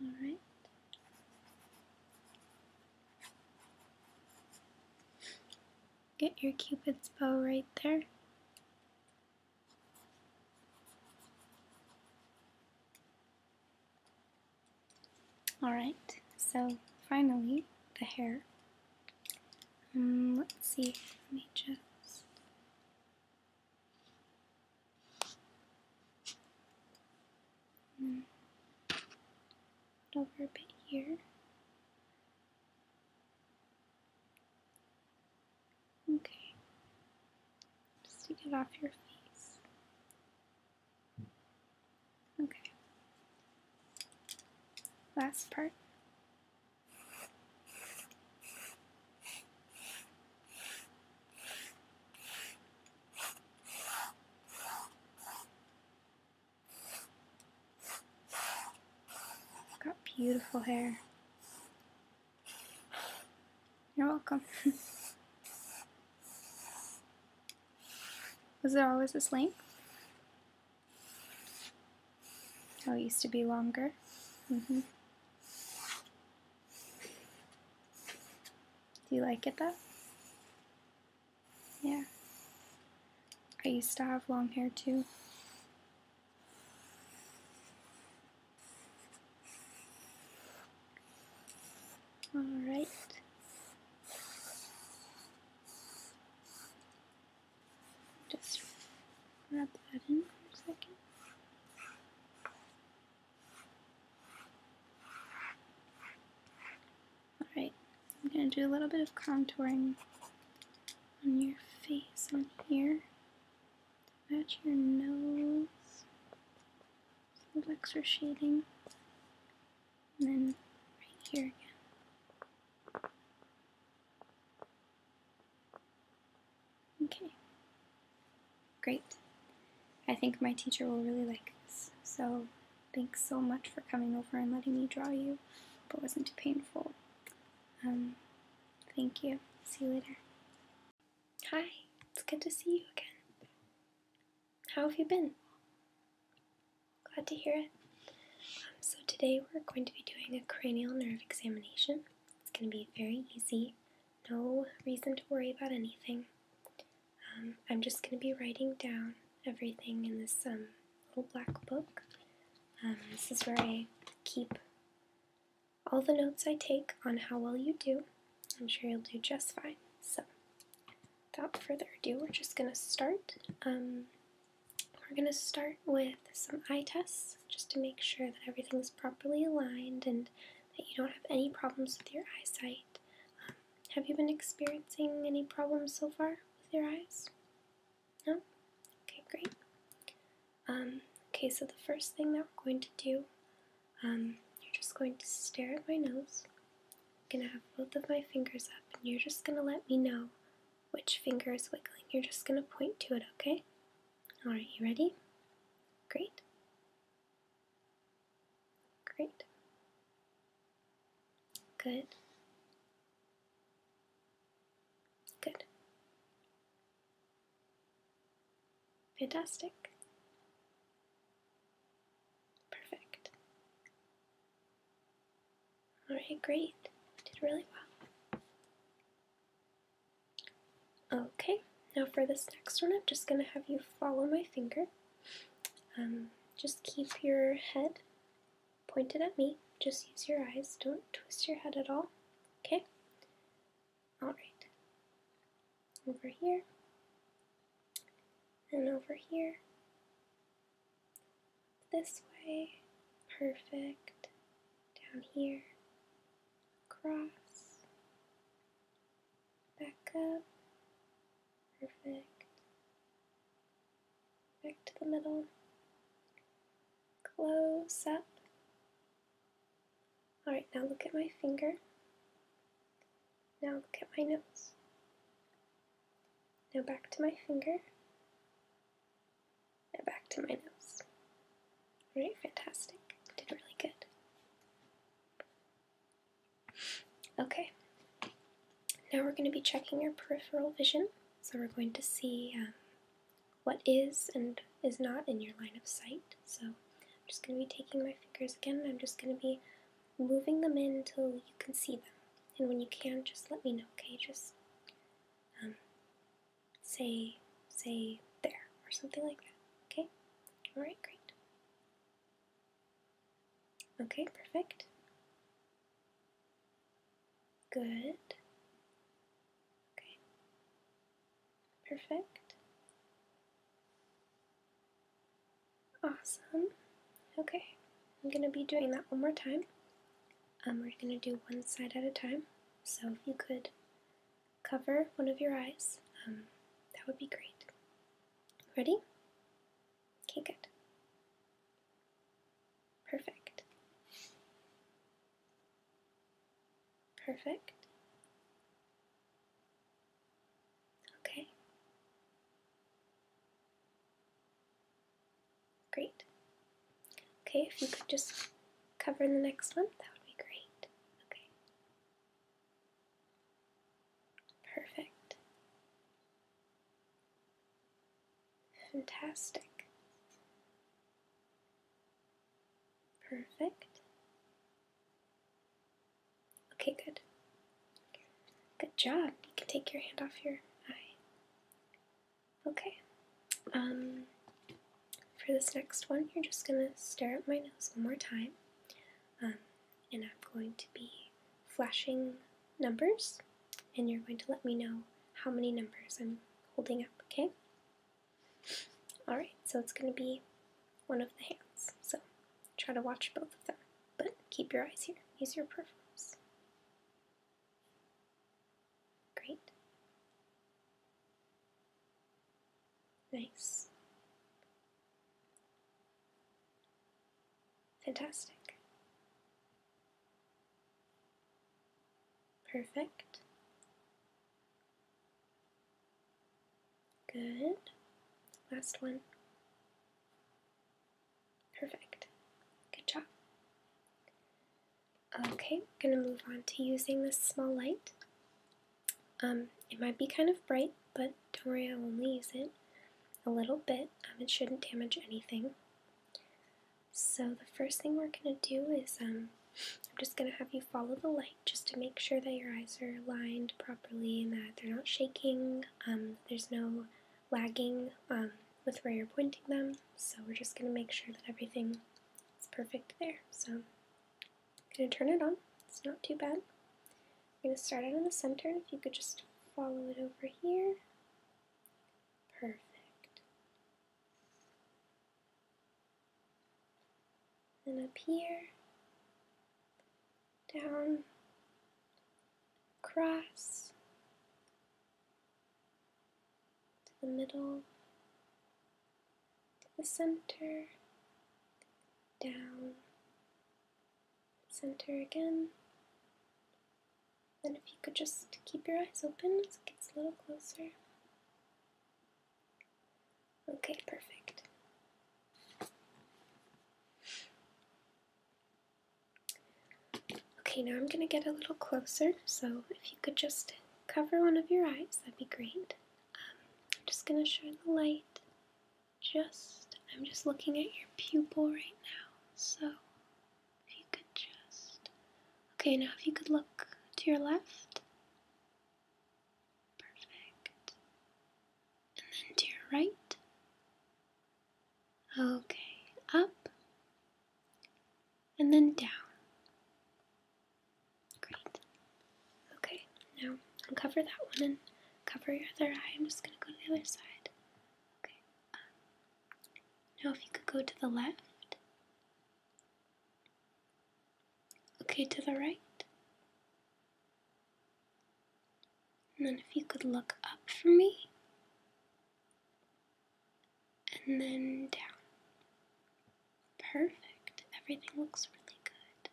Speaker 1: All right. Get your cupid's bow right there. Alright, so finally, the hair. Um, let's see, let me just Hmm. over a bit here. Okay. Just to get off your face. Okay. Last part. Got beautiful hair. You're welcome. *laughs* Was there always this length? Oh, it used to be longer. -hmm. Do you like it though? Yeah. I used to have long hair too. Alright. Just wrap that in for a second. Alright, I'm going to do a little bit of contouring on your face on here. Match your nose. Some extra shading. And then right here again. Okay, Great. I think my teacher will really like this, so thanks so much for coming over and letting me draw you. But it wasn't too painful. Um, thank you. See you later. Hi, it's good to see you again. How have you been? Glad to hear it. Um, so today we're going to be doing a cranial nerve examination. It's going to be very easy no reason to worry about anything. Um, I'm just going to be writing down everything in this um, little black book. Um, this is where I keep all the notes I take on how well you do. I'm sure you'll do just fine. So, without further ado, we're just going to start. we're going to start with some eye tests just to make sure that everything is properly aligned and that you don't have any problems with your eyesight. Um, have you been experiencing any problems so far with your eyes? No? Okay, great. Um, okay, so the first thing that we're going to do, um, you're just going to stare at my nose. I'm going to have both of my fingers up, and you're just going to let me know which finger is wiggling. You're just going to point to it, okay? Alright, you ready? Great. Great. Good. Good. Fantastic. Perfect. Alright, great. Did really well. Okay, now for this next one, I'm just going to have you follow my finger. Um, just keep your head pointed at me. Just use your eyes. Don't twist your head at all. Okay? Alright. Over here. And over here. This way. Perfect. Down here. Across back up, perfect, back to the middle, close up. Alright, now look at my finger, now look at my nose, now back to my finger, now back to my nose. Alright, fantastic, did really good. Okay, now we're going to be checking your peripheral vision. So we're going to see um, what is and is not in your line of sight. So I'm just going to be taking my fingers again I'm just going to be moving them in until you can see them. And when you can, just let me know, okay? Just um, say, say there or something like that, okay? Alright, great. Okay, perfect. Good. Okay. Perfect. Awesome. Okay, I'm going to be doing that one more time. Um, we're going to do one side at a time. So if you could cover one of your eyes, um, that would be great. Ready? Okay, good. Perfect. Perfect. Okay. Great. Okay, if you could just cover the next one, that would be great. Okay. Perfect. Fantastic. Perfect. Okay, good. Good job. You can take your hand off your eye. Okay. Um, for this next one, you're just going to stare at my nose one more time. Um, and I'm going to be flashing numbers, and you're going to let me know how many numbers I'm holding up, okay? Alright, so it's going to be one of the hands, so try to watch both of them, but keep your eyes here. Use your peripherals. Great. Nice. Fantastic. Perfect. Good. Last one. Perfect. Good job. Okay, we're going to move on to using this small light. Um, it might be kind of bright, but don't worry, I will use it a little bit. Um, it shouldn't damage anything. So the first thing we're going to do is um, I'm just going to have you follow the light just to make sure that your eyes are lined properly and that they're not shaking. Um, there's no lagging um, with where you're pointing them. So we're just going to make sure that everything is perfect there. So I'm going to turn it on. It's not too bad. I'm going to start out in the center, and if you could just follow it over here. Perfect. Then up here, down, across, to the middle, to the center, down, center again. Then if you could just keep your eyes open as it gets a little closer. Okay, perfect. Okay, now I'm going to get a little closer, so if you could just cover one of your eyes, that'd be great. Um, I'm just going to shine the light just, I'm just looking at your pupil right now. So, if you could just. Okay, now if you could look to your left. Perfect. And then to your right. Okay, up. And then down. Great. Okay, now uncover that one and cover your other eye. I'm just going to go to the other side. Okay. Um, now, if you could go to the left. Okay, to the right. And then if you could look up for me. And then down. Perfect. Everything looks really good.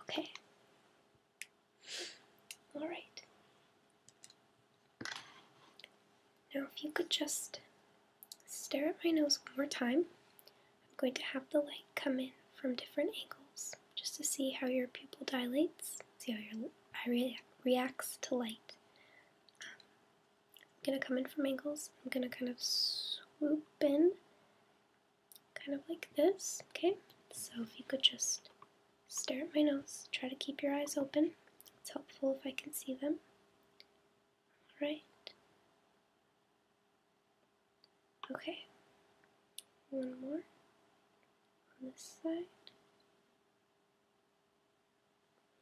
Speaker 1: Okay. All right. Now, if you could just stare at my nose one more time, I'm going to have the light come in from different angles just to see how your pupil dilates, see how your eye reacts to light. Um, I'm going to come in from angles. I'm going to kind of swoop in kind of like this, okay? So if you could just stare at my nose, try to keep your eyes open. It's helpful if I can see them. All right. Okay. One more on this side.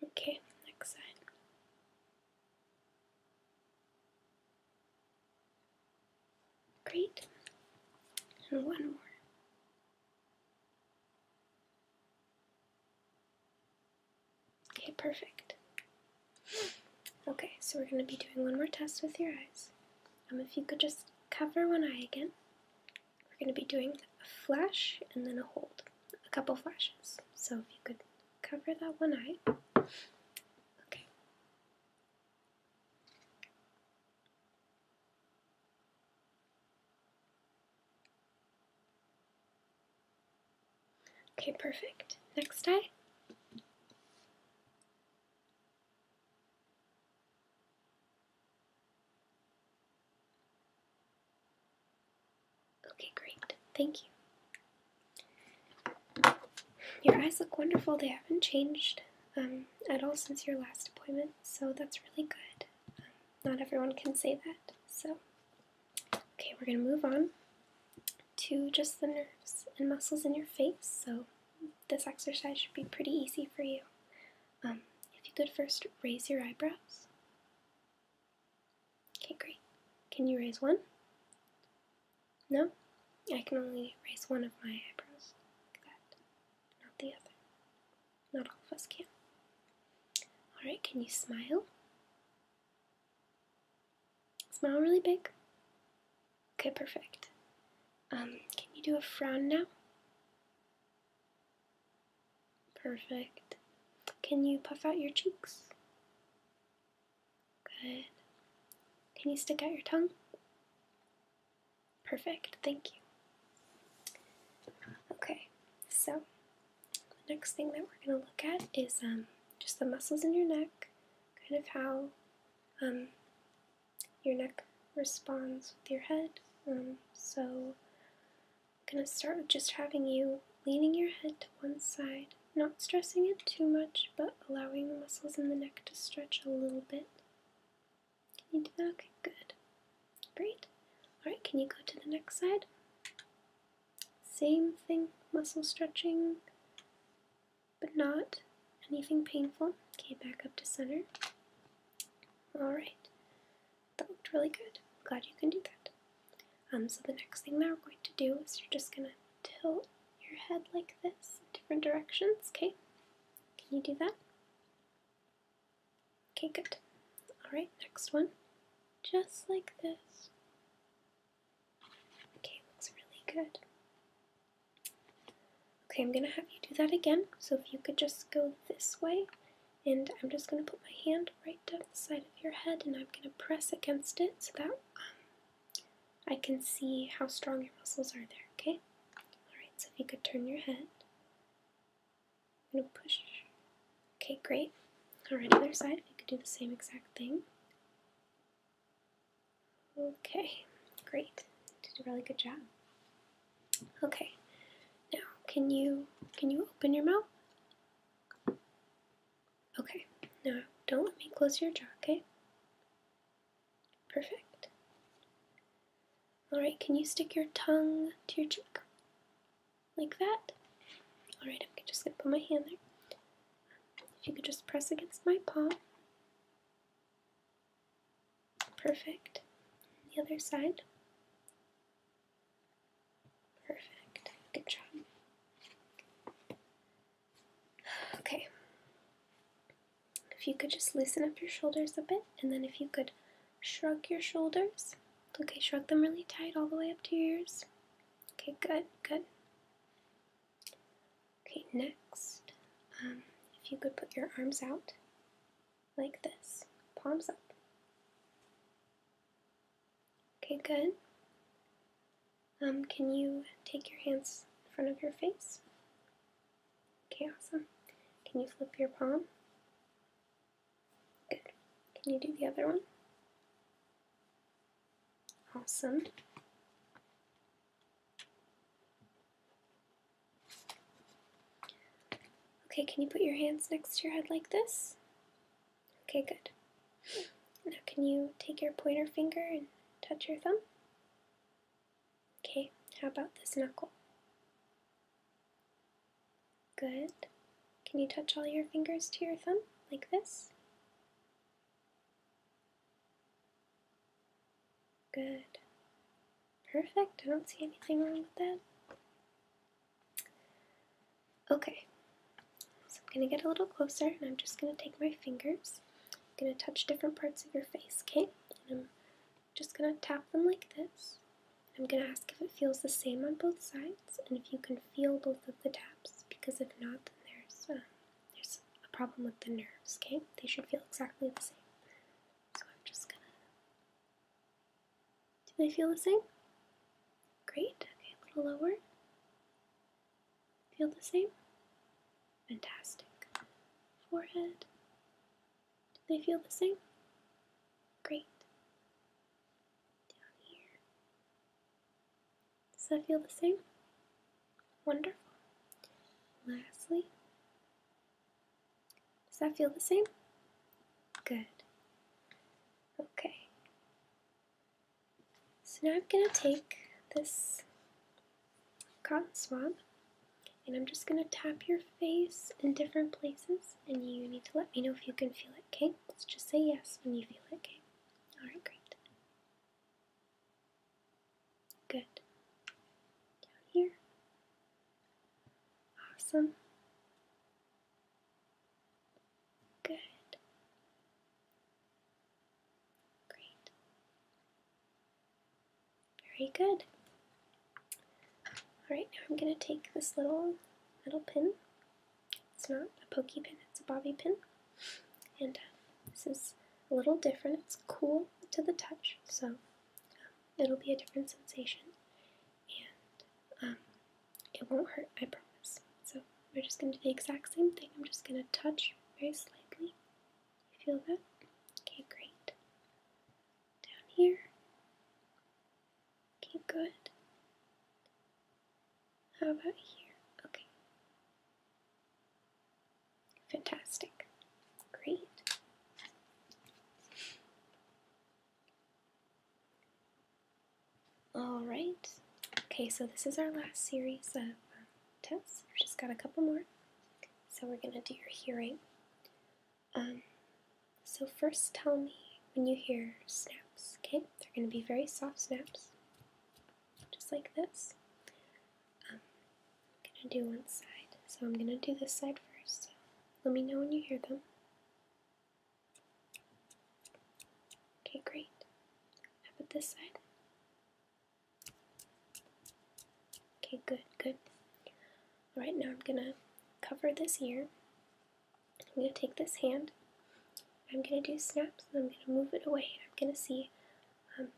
Speaker 1: Okay, next side. Great. And one more. Okay, perfect. Okay, so we're going to be doing one more test with your eyes. Um, if you could just cover one eye again. We're going to be doing a flash and then a hold. A couple flashes. So if you could cover that one eye. Okay. Okay, perfect. Next eye. Okay, great. Thank you. Your eyes look wonderful. They haven't changed um, at all since your last appointment, so that's really good. Um, not everyone can say that. So, okay, we're going to move on to just the nerves and muscles in your face. So, this exercise should be pretty easy for you. Um, if you could first raise your eyebrows. Okay, great. Can you raise one? No? I can only raise one of my eyebrows. Like that not the other. Not all of us can. Alright, can you smile? Smile really big. Okay, perfect. Um, can you do a frown now? Perfect. Can you puff out your cheeks? Good. Can you stick out your tongue? Perfect, thank you. Okay, so the next thing that we're going to look at is um, just the muscles in your neck, kind of how um, your neck responds with your head. Um, so I'm going to start with just having you leaning your head to one side, not stressing it too much, but allowing the muscles in the neck to stretch a little bit. Can you do that? Okay, good. Great. Alright, can you go to the next side? Same thing, muscle stretching, but not anything painful. Okay, back up to center. Alright, that looked really good. glad you can do that. Um, so the next thing that we're going to do is you're just going to tilt your head like this in different directions, okay? Can you do that? Okay, good. Alright, next one. Just like this. Okay, looks really good. Okay, I'm going to have you do that again. So if you could just go this way, and I'm just going to put my hand right down the side of your head, and I'm going to press against it so that um, I can see how strong your muscles are there, okay? Alright, so if you could turn your head. I'm push. Okay, great. Alright, other side, you could do the same exact thing. Okay, great. Did a really good job. Okay. Now can you can you open your mouth? Okay. Now don't let me close your jaw, okay? Perfect. Alright, can you stick your tongue to your cheek? Like that? Alright, I'm just going to put my hand there. If you could just press against my palm. Perfect. The other side. Perfect. Good job. Okay. If you could just loosen up your shoulders a bit, and then if you could shrug your shoulders. Okay, shrug them really tight all the way up to your ears. Okay, good, good. Okay, next, um, if you could put your arms out like this, palms up. Okay, good. Um, can you take your hands in front of your face? Okay, awesome. Can you flip your palm? Good. Can you do the other one? Awesome. Okay, can you put your hands next to your head like this? Okay, good. Now can you take your pointer finger and touch your thumb? Okay, how about this knuckle? Good. Can you touch all your fingers to your thumb like this? Good. Perfect. I don't see anything wrong with that. Okay, so I'm going to get a little closer and I'm just going to take my fingers. I'm going to touch different parts of your face, okay? just gonna tap them like this. I'm gonna ask if it feels the same on both sides and if you can feel both of the taps because if not, then there's uh, there's a problem with the nerves. Okay, they should feel exactly the same. So I'm just gonna. Do they feel the same? Great. Okay, a little lower. Feel the same? Fantastic. Forehead, do they feel the same? Great. Down here. Does that feel the same? Wonderful. Lastly, does that feel the same? Good. Okay. So now I'm going to take this cotton swab, and I'm just going to tap your face in different places, and you need to let me know if you can feel it, okay? just say yes when you feel it, okay? Alright, great. Good. Down here. Awesome. Good. Great. Very good. Alright, now I'm going to take this little little pin. It's not a pokey pin, it's a bobby pin. And uh, this is a little different. It's cool to the touch, so um, it'll be a different sensation. And um, it won't hurt, I promise. So we're just going to do the exact same thing. I'm just going to touch very slightly. You feel that? Okay, great down here. Okay, good. How about here? Okay. Fantastic. Great. Alright. Okay, so this is our last series of uh, tests. We've just got a couple more. So we're going to do your hearing. Um, so first tell me when you hear snaps, okay? They're going to be very soft snaps, just like this. Um, I'm going to do one side, so I'm going to do this side first. So let me know when you hear them. Okay, great. How about this side? Okay, good, good. Right now I'm gonna cover this ear. I'm gonna take this hand. I'm gonna do snaps and I'm gonna move it away. I'm gonna see um,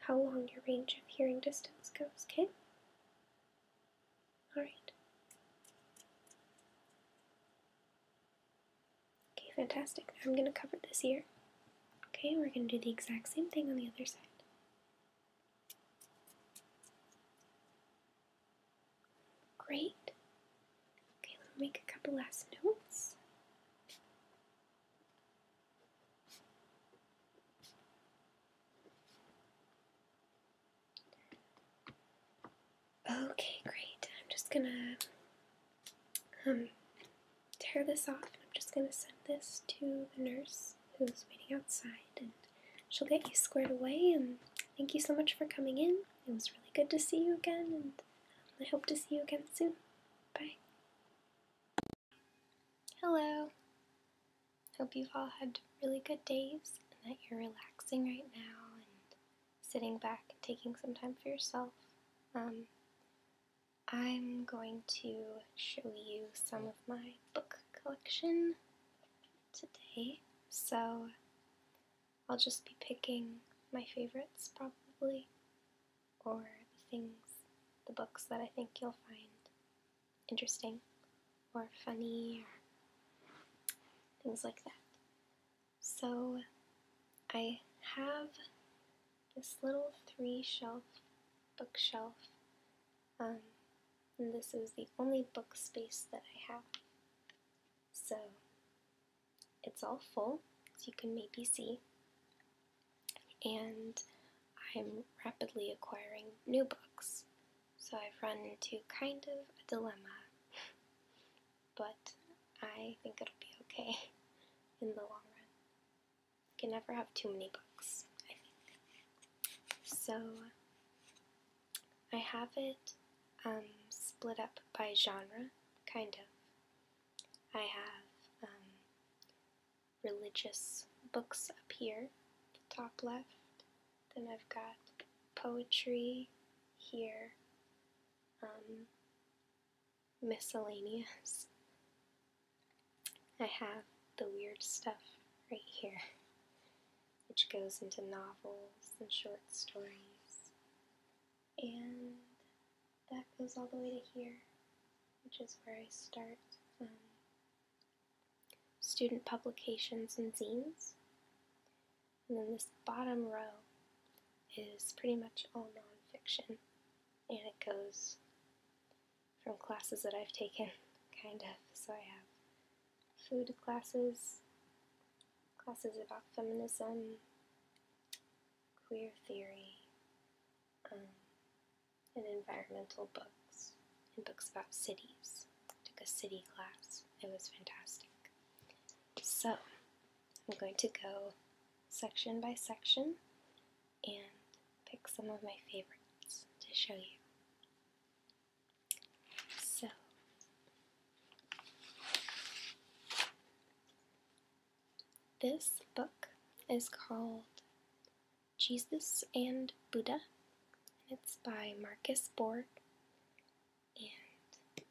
Speaker 1: how long your range of hearing distance goes, okay? Alright. Okay, fantastic. I'm gonna cover this ear. Okay, we're gonna do the exact same thing on the other side. Great. Okay, let me make a couple last notes. Okay, great. I'm just gonna um, tear this off. I'm just gonna send this to the nurse who's waiting outside, and she'll get you squared away. And thank you so much for coming in. It was really good to see you again, and I hope to see you again soon. Bye. Hello. Hope you've all had really good days and that you're relaxing right now and sitting back and taking some time for yourself. Um, I'm going to show you some of my book collection today, so I'll just be picking my favorites probably, or the things, the books that I think you'll find interesting or funny or things like that. So I have this little three shelf bookshelf um, and this is the only book space that I have. So it's all full, as you can maybe see. And I'm rapidly acquiring new books. So I've run into kind of a dilemma. *laughs* but I think it'll be okay *laughs* in the long run. You can never have too many books, I think. So I have it um, split up by genre, kind of. I have um, religious books up here, top left. Then I've got poetry here, um, miscellaneous, I have the weird stuff right here, *laughs* which goes into novels and short stories, and that goes all the way to here, which is where I start um, student publications and zines. And then this bottom row is pretty much all nonfiction, and it goes from classes that I've taken, kind of. So I have food classes, classes about feminism, queer theory, um, and environmental books, and books about cities. I took a city class, it was fantastic. So, I'm going to go section by section and pick some of my favorites to show you. So this book is called Jesus and Buddha. And it's by Marcus Borg, and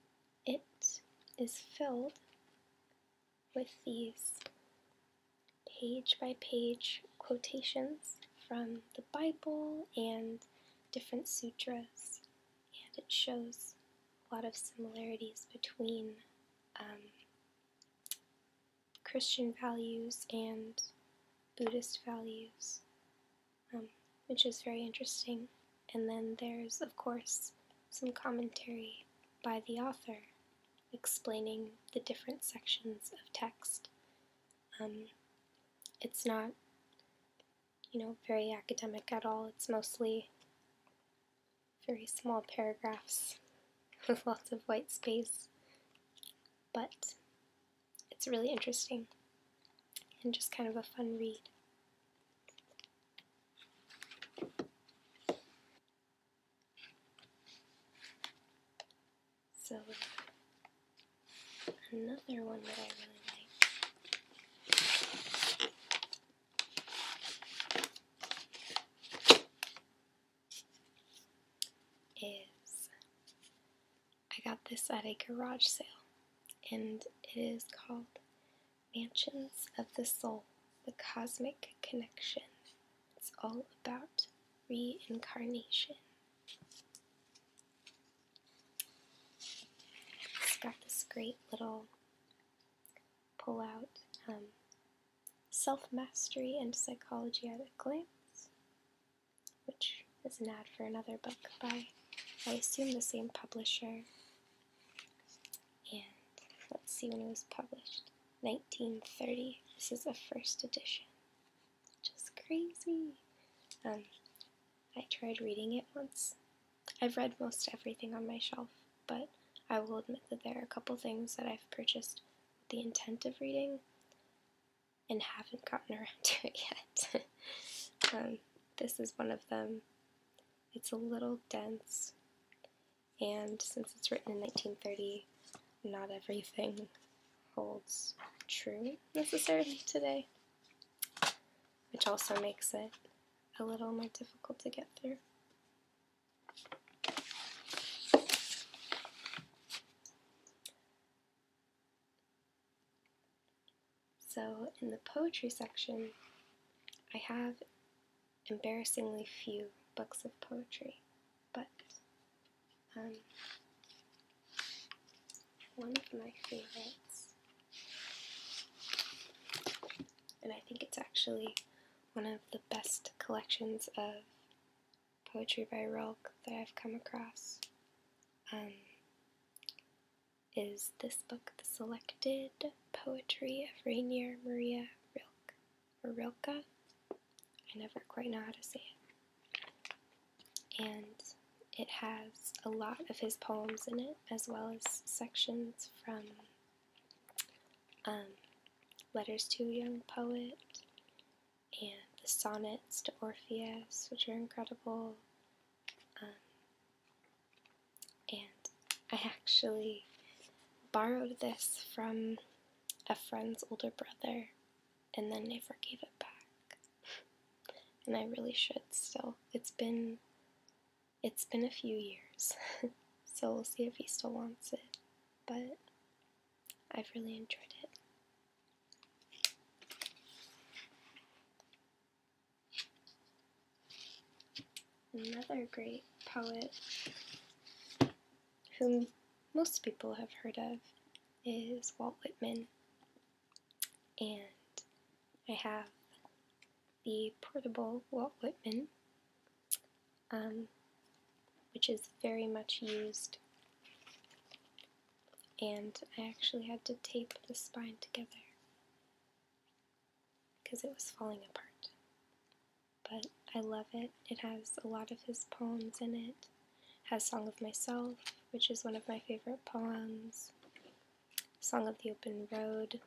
Speaker 1: it is filled with these page by page quotations from the Bible and different sutras, and it shows a lot of similarities between um, Christian values and Buddhist values, um, which is very interesting. And then there's, of course, some commentary by the author explaining the different sections of text um, it's not, you know, very academic at all. It's mostly very small paragraphs *laughs* with lots of white space, but it's really interesting and just kind of a fun read. So another one that I really like is I got this at a garage sale and it is called Mansions of the Soul, the Cosmic Connection. It's all about reincarnation. It's got this great little pull out um, self mastery and psychology at a glance, which is an ad for another book by, I assume, the same publisher. And let's see when it was published 1930. This is a first edition just crazy. Um, I tried reading it once. I've read most everything on my shelf, but I will admit that there are a couple things that I've purchased with the intent of reading and haven't gotten *laughs* around to it yet. *laughs* Um, this is one of them. It's a little dense, and since it's written in 1930, not everything holds true necessarily today, which also makes it a little more difficult to get through. So, in the poetry section, I have embarrassingly few books of poetry, but um, one of my favorites, and I think it's actually one of the best collections of poetry by Rilke that I've come across, um, is this book, The Selected Poetry of Rainier Maria Rilke, or Rilke. I never quite know how to say it and it has a lot of his poems in it, as well as sections from um, Letters to a Young Poet and the Sonnets to Orpheus, which are incredible. Um, and I actually borrowed this from a friend's older brother, and then they forgave it back and I really should still. It's been it's been a few years, *laughs* so we'll see if he still wants it, but I've really enjoyed it. Another great poet whom most people have heard of is Walt Whitman and I have the portable Walt Whitman, um, which is very much used. And I actually had to tape the spine together because it was falling apart. But I love it. It has a lot of his poems in it has Song of Myself, which is one of my favorite poems, Song of the Open Road.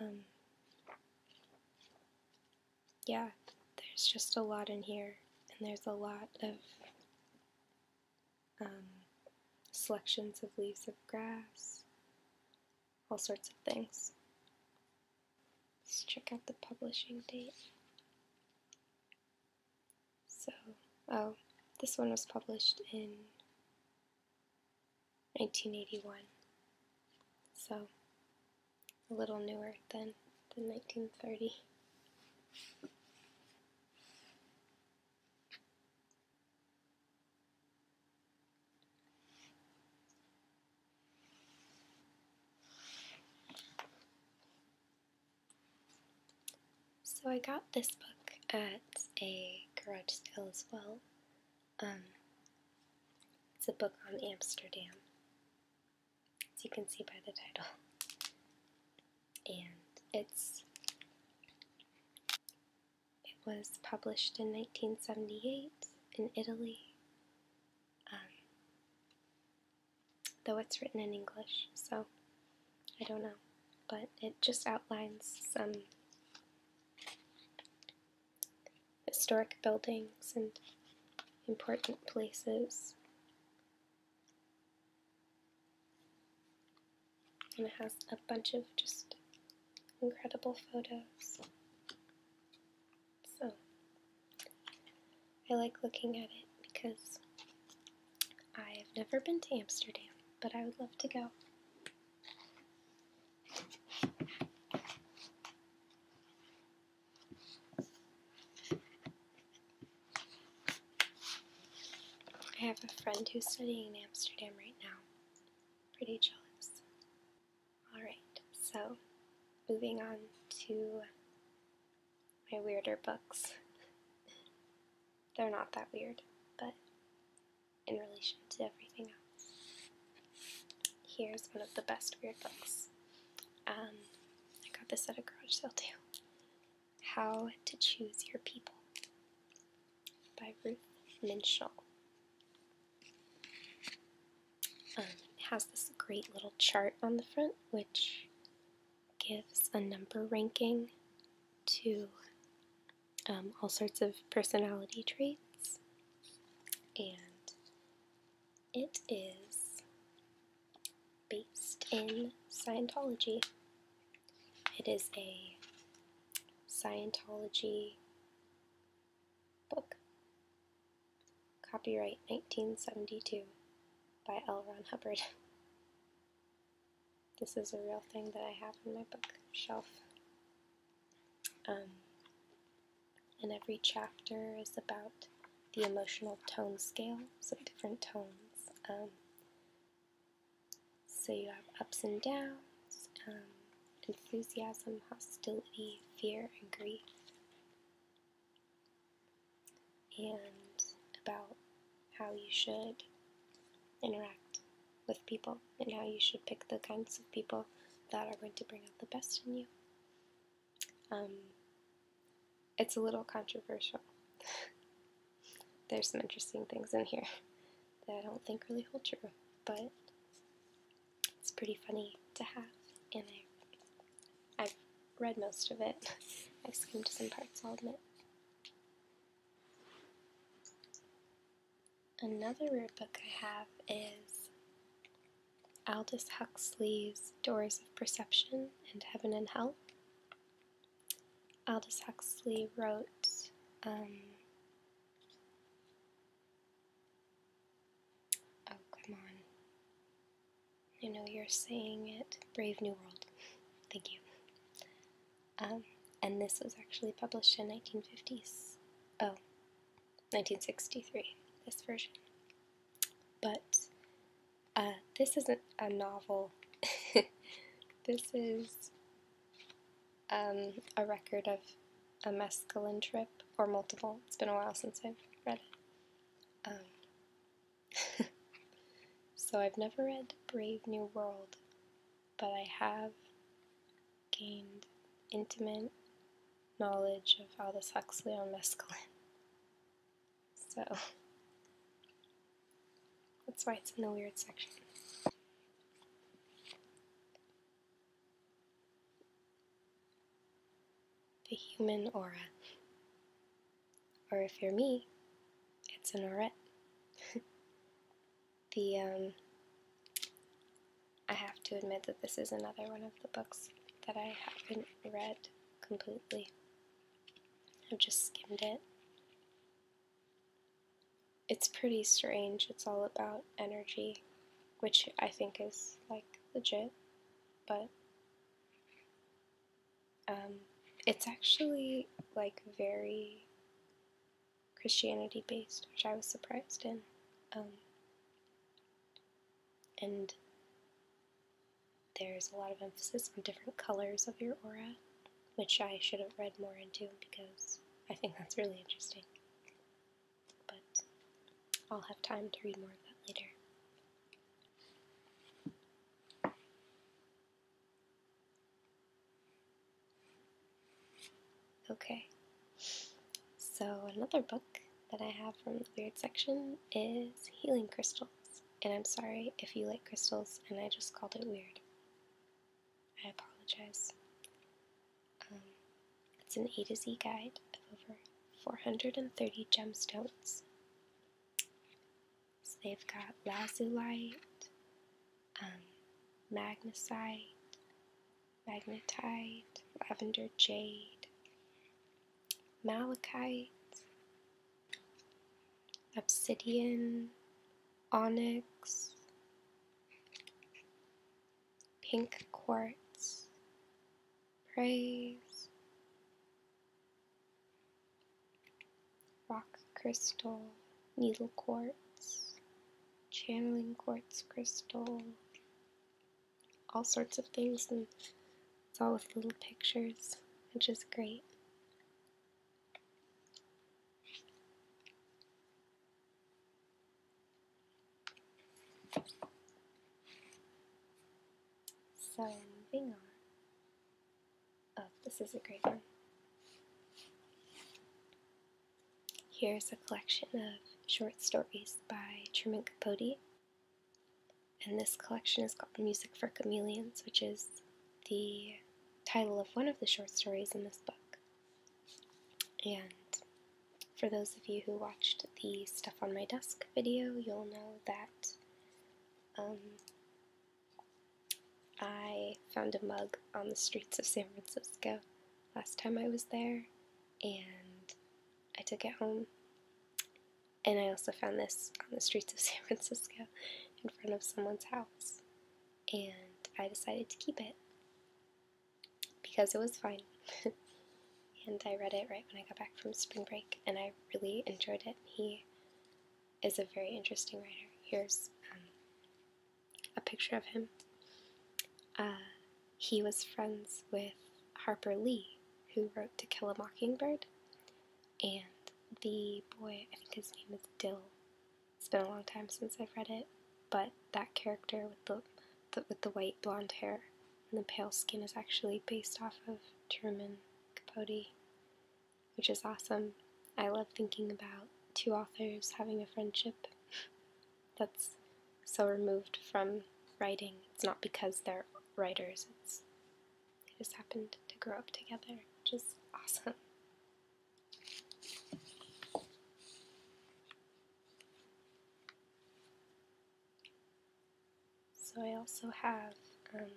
Speaker 1: Um, yeah, there's just a lot in here, and there's a lot of um, selections of leaves of grass, all sorts of things. Let's check out the publishing date. So, oh, this one was published in 1981. So, a little newer than the 1930. So I got this book at a garage sale as well. Um, it's a book on Amsterdam, as you can see by the title. And it's it was published in 1978 in Italy. Um, though it's written in English, so I don't know. But it just outlines some historic buildings and important places. And it has a bunch of just incredible photos. So, I like looking at it because I've never been to Amsterdam, but I would love to go. I have a friend who's studying in Amsterdam right now. Pretty jealous. Alright, so moving on to my weirder books. They're not that weird, but in relation to everything else. Here's one of the best weird books. Um, I got this at a garage sale too. How to Choose Your People by Ruth Minshall. Um, it has this great little chart on the front, which gives a number ranking to um, all sorts of personality traits, and it is based in Scientology. It is a Scientology book. Copyright 1972 by L. Ron Hubbard. *laughs* This is a real thing that I have on my bookshelf. Um, and every chapter is about the emotional tone scale, so different tones. Um, so you have ups and downs, um, enthusiasm, hostility, fear, and grief and about how you should interact with people and how you should pick the kinds of people that are going to bring out the best in you. Um, it's a little controversial. *laughs* There's some interesting things in here that I don't think really hold true, but it's pretty funny to have, and I, I've read most of it. *laughs* I've skimmed some parts, I'll admit. Another rare book I have is Aldous Huxley's Doors of Perception and Heaven and Hell. Aldous Huxley wrote um, Oh, come on. I know you're saying it. Brave New World. Thank you. Um, and this was actually published in 1950s. Oh, 1963, this version. But uh, this isn't a novel. *laughs* this is um, a record of a mescaline trip, or multiple. It's been a while since I've read it. Um, *laughs* so I've never read Brave New World, but I have gained intimate knowledge of Aldous Huxley on mescaline. *laughs* So that's why it's in the weird section. The human aura. Or if you're me, it's an orette. *laughs* the, um, I have to admit that this is another one of the books that I haven't read completely. I've just skimmed it. It's pretty strange. It's all about energy, which I think is like legit, but um, it's actually like very Christianity based, which I was surprised in. Um, and there's a lot of emphasis on different colors of your aura, which I should have read more into because I think that's really interesting. But I'll have time to read more of that later. Okay, so another book that I have from the weird section is Healing Crystals, and I'm sorry if you like crystals and I just called it weird. I apologize. Um, it's an A to Z guide of over 430 gemstones. So they've got lazulite, um, magnesite, magnetite, lavender jade, malachite, obsidian, onyx, pink quartz, praise, rock crystal, needle quartz, channeling quartz crystal, all sorts of things, and it's all with little pictures, which is great. So, moving on. Oh, this is a great one. Here's a collection of short stories by Truman Capote. And this collection is called Music for Chameleons, which is the title of one of the short stories in this book. And for those of you who watched the Stuff on My Desk video, you'll know that um, I found a mug on the streets of San Francisco last time I was there, and I took it home. And I also found this on the streets of *laughs* San Francisco in front of someone's house, and I decided to keep it because it was fine. *laughs* and I read it right when I got back from spring break, and I really enjoyed it. He is a very interesting writer. Here's um, a picture of him. Uh, he was friends with Harper Lee, who wrote To Kill a Mockingbird, and the boy, I think his name is Dill. It's been a long time since I've read it, but that character with the, the with the white blonde hair and the pale skin is actually based off of Truman Capote which is awesome. I love thinking about two authors having a friendship *laughs* that's so removed from writing. It's not because they're writers, it's they just happened to grow up together, which is awesome. So I also have um,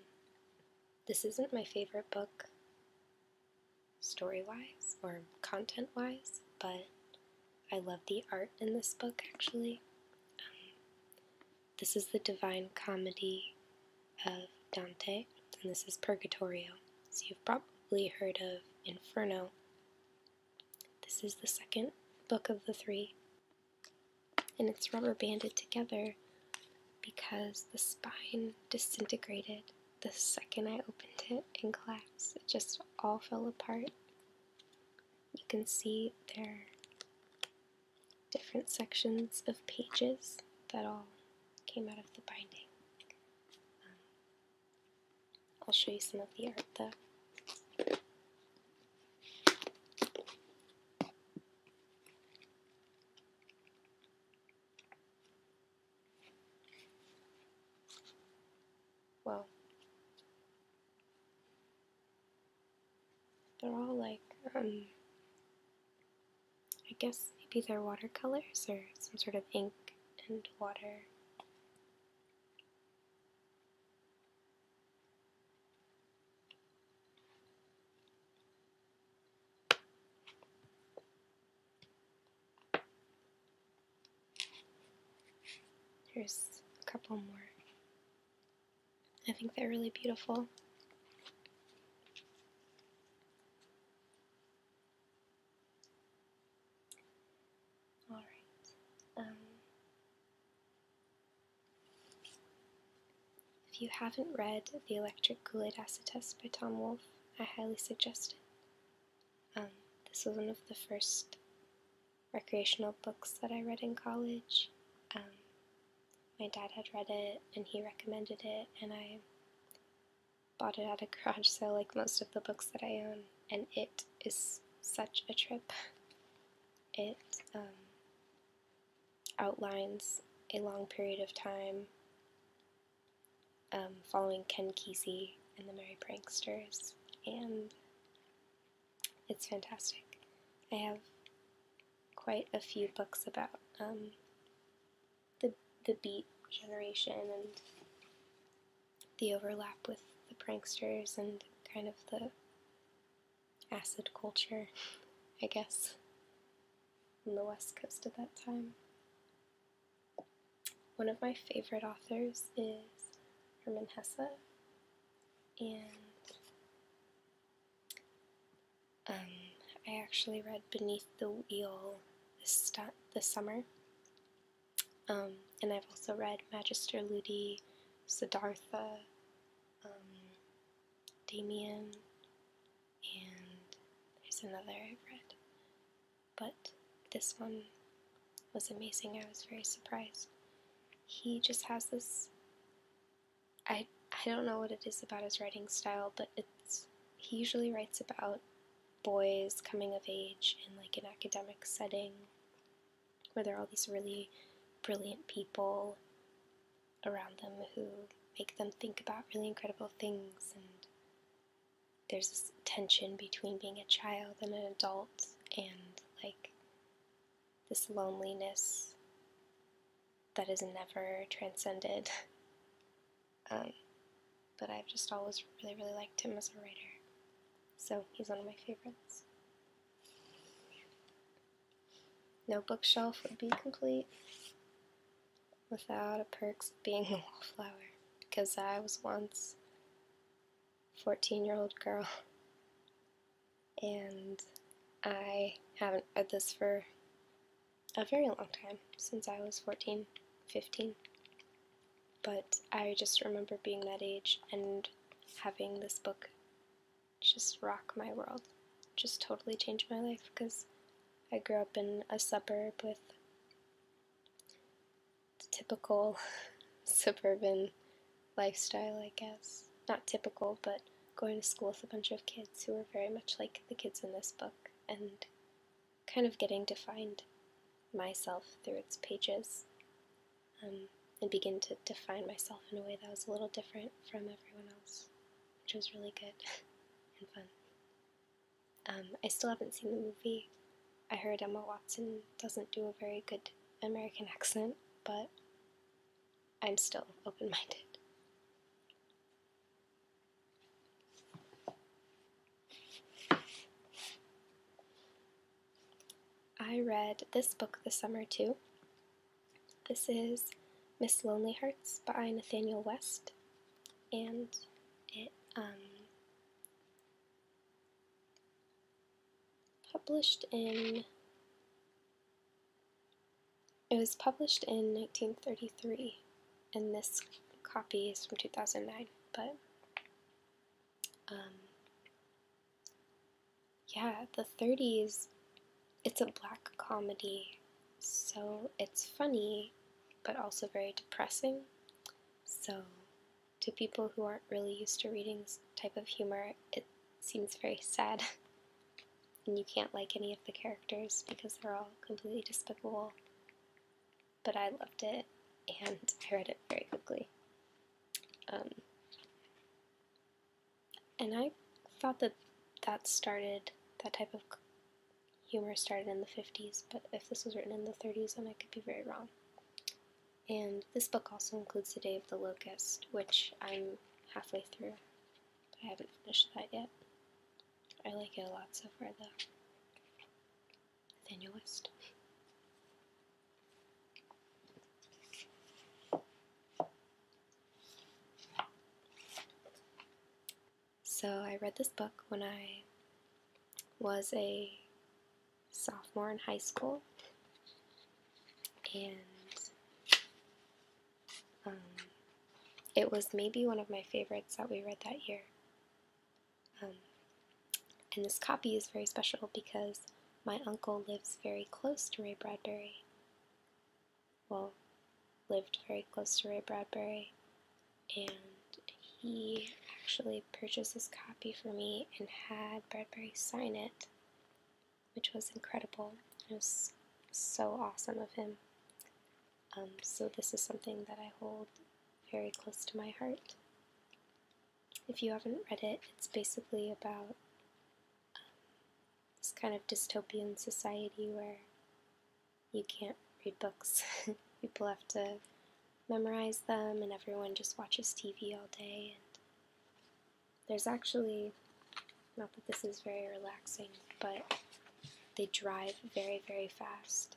Speaker 1: this isn't my favorite book story wise or content wise, but I love the art in this book actually. Um, this is the Divine Comedy of Dante, and this is Purgatorio. So you've probably heard of Inferno. This is the second book of the three, and it's rubber banded together because the spine disintegrated the second I opened it and collapsed, It just all fell apart. You can see there different sections of pages that all came out of the binding. Um, I'll show you some of the art though. Well, they're all like, um, I guess maybe they're watercolors or some sort of ink and water. Here's a couple more. I think they're really beautiful. Alright. Um, if you haven't read The Electric Kool-Aid Acid Test by Tom Wolfe, I highly suggest it. Um, this was one of the first recreational books that I read in college. Um, my dad had read it and he recommended it, and I bought it at a garage *laughs* sale like most of the books that I own, and it is such a trip. *laughs* It um, outlines a long period of time um, following Ken Kesey and the Merry Pranksters, and it's fantastic. I have quite a few books about um, the the Beat generation and the overlap with the pranksters and kind of the acid culture, I guess, on the west coast at that time. One of my favorite authors is Herman Hesse, and um, I actually read Beneath the Wheel this, summer. Um, and I've also read Magister Ludi, Siddhartha, um, Damien, and there's another I've read. But this one was amazing. I was very surprised. He just has this I I don't know what it is about his writing style, but it's he usually writes about boys coming of age in like an academic setting where there are all these really brilliant people around them who make them think about really incredible things and there's this tension between being a child and an adult and like this loneliness that is never transcended. *laughs* Um, but I've just always really, really liked him as a writer. So he's one of my favorites. No bookshelf would be complete without a perks being a wallflower, because I was once a 14 year old girl, and I haven't read this for a very long time, since I was 14, 15. But I just remember being that age and having this book just rock my world, just totally change my life, because I grew up in a suburb with the typical *laughs* suburban lifestyle, I guess. Not typical, but going to school with a bunch of kids who were very much like the kids in this book and kind of getting to find myself through its pages um, and begin to define myself in a way that was a little different from everyone else, which was really good *laughs* and fun. Um, I still haven't seen the movie. I heard Emma Watson doesn't do a very good American accent, but I'm still open minded. I read this book this summer too. This is Miss Lonely Hearts by Nathaniel West and it um, published in it was published in 1933 and this copy is from 2009 but um, yeah the 30s it's a black comedy so it's funny, but also very depressing. So, to people who aren't really used to reading this type of humor, it seems very sad. *laughs* and you can't like any of the characters because they're all completely despicable. But I loved it, and *laughs* I read it very quickly. Um, and I thought that that started that type of humor started in the 50s, but if this was written in the 30s, then I could be very wrong. And this book also includes The Day of the Locust, which I'm halfway through, but I haven't finished that yet. I like it a lot so far, though. Nathaniel so I read this book when I was a sophomore in high school, and um, it was maybe one of my favorites that we read that year. Um, and this copy is very special because my uncle lives very close to Ray Bradbury. Well, lived very close to Ray Bradbury, and he actually purchased this copy for me and had Bradbury sign it, which was incredible. It was so awesome of him. Um, so, this is something that I hold very close to my heart. If you haven't read it, it's basically about um, this kind of dystopian society where you can't read books. *laughs* People have to memorize them, and everyone just watches TV all day. And there's actually, not that this is very relaxing, but they drive very, very fast.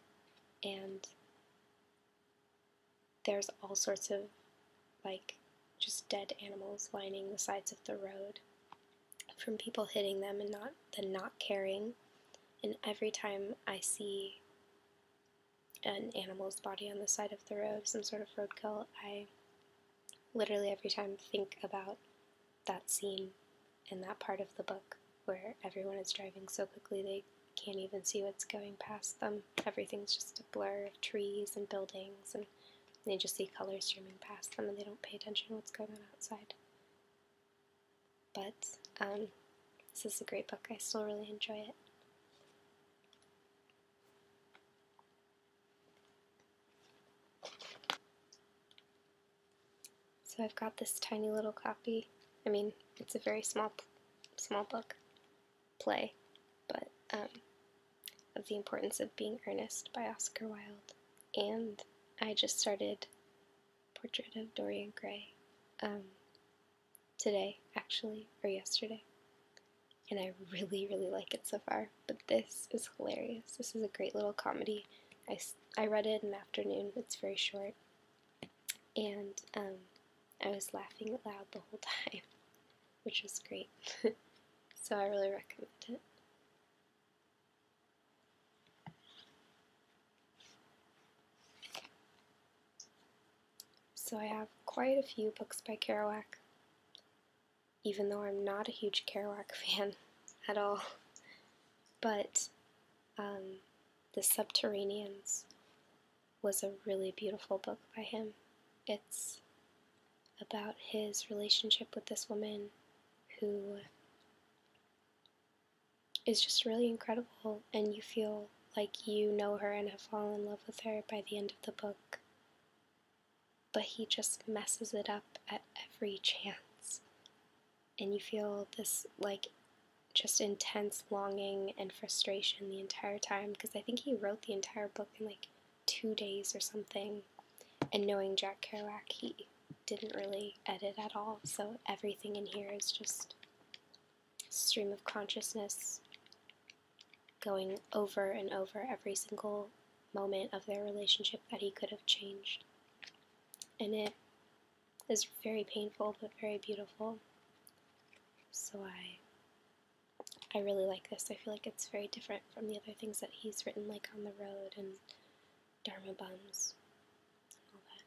Speaker 1: And there's all sorts of, like, just dead animals lining the sides of the road from people hitting them and not, the not caring and every time I see an animal's body on the side of the road, some sort of roadkill, I literally every time think about that scene in that part of the book where everyone is driving so quickly they can't even see what's going past them. Everything's just a blur of trees and buildings, and they just see colors streaming past them and they don't pay attention to what's going on outside. But um, this is a great book. I still really enjoy it. So I've got this tiny little copy. I mean, it's a very small, small book, play, but um, of the importance of being earnest by Oscar Wilde, and I just started Portrait of Dorian Gray um, today, actually, or yesterday. And I really, really like it so far. But this is hilarious. This is a great little comedy. I, I read it in the afternoon, it's very short. And um, I was laughing loud the whole *laughs* time, which was great. *laughs* so I really recommend it. So I have quite a few books by Kerouac, even though I'm not a huge Kerouac *laughs* fan at all. But um, The Subterraneans was a really beautiful book by him. It's about his relationship with this woman who is just really incredible, and you feel like you know her and have fallen in love with her by the end of the book. But he just messes it up at every chance, and you feel this like just intense longing and frustration the entire time because I think he wrote the entire book in like two days or something. And knowing Jack Kerouac, he didn't really edit at all, so everything in here is just stream of consciousness going over and over every single moment of their relationship that he could have changed. And it is very painful but very beautiful. So I I really like this. I feel like it's very different from the other things that he's written like On the Road and Dharma Bums and all that.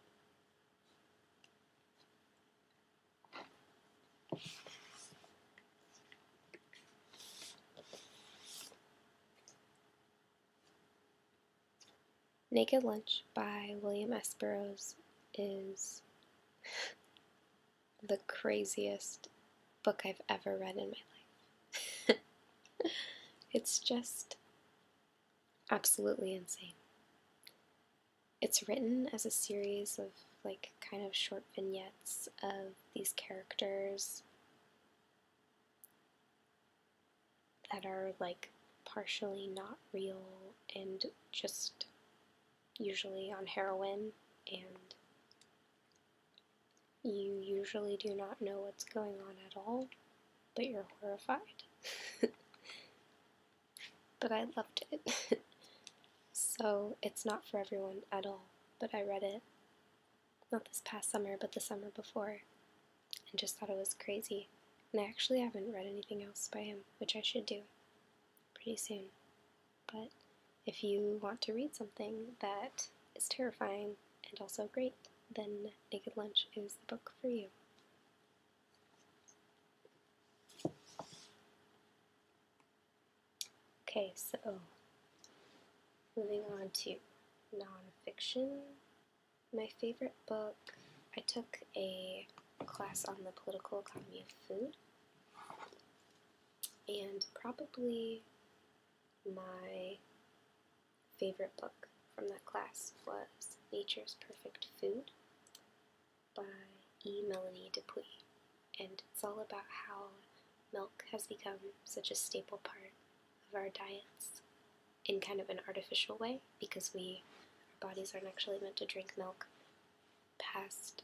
Speaker 1: Naked Lunch by William S. Burroughs is the craziest book I've ever read in my life. *laughs* it's just absolutely insane. It's written as a series of like kind of short vignettes of these characters that are like partially not real and just usually on heroin and you usually do not know what's going on at all, but you're horrified. *laughs* but I loved it. *laughs* so it's not for everyone at all, but I read it not this past summer, but the summer before, and just thought it was crazy. And I actually haven't read anything else by him, which I should do pretty soon. But if you want to read something that is terrifying and also great, then Naked Lunch is the book for you. Okay, so moving on to nonfiction. My favorite book, I took a class on the political economy of food, and probably my favorite book from that class was Nature's Perfect Food by E. Melanie Dupuy, and it's all about how milk has become such a staple part of our diets in kind of an artificial way because we our bodies aren't actually meant to drink milk past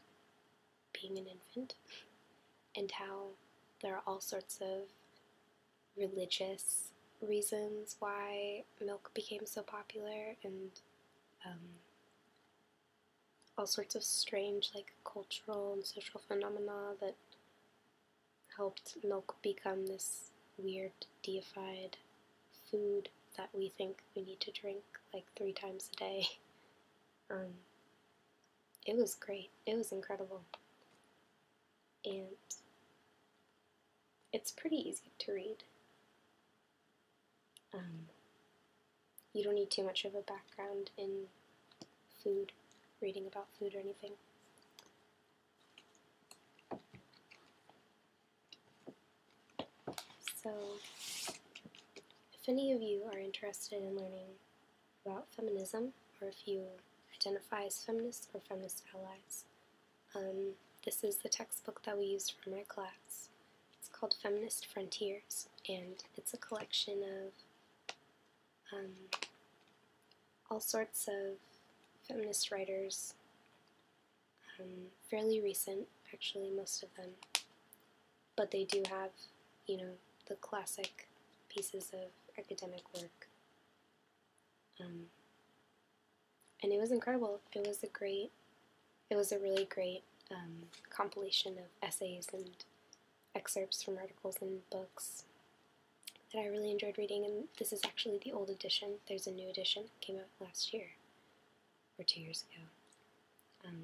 Speaker 1: being an infant and how there are all sorts of religious reasons why milk became so popular and um, all sorts of strange, like cultural and social phenomena that helped milk become this weird, deified food that we think we need to drink like three times a day. *laughs* Um, it was great, it was incredible. And it's pretty easy to read. Um, you don't need too much of a background in food, reading about food or anything. So, if any of you are interested in learning about feminism, or if you identify as feminist or feminist allies, um, this is the textbook that we used for my class. It's called Feminist Frontiers, and it's a collection of um, all sorts of feminist writers, um, fairly recent, actually, most of them. But they do have, you know, the classic pieces of academic work and it was incredible. It was a great, it was a really great um, compilation of essays and excerpts from articles and books that I really enjoyed reading. And this is actually the old edition. There's a new edition that came out last year or two years ago. Um,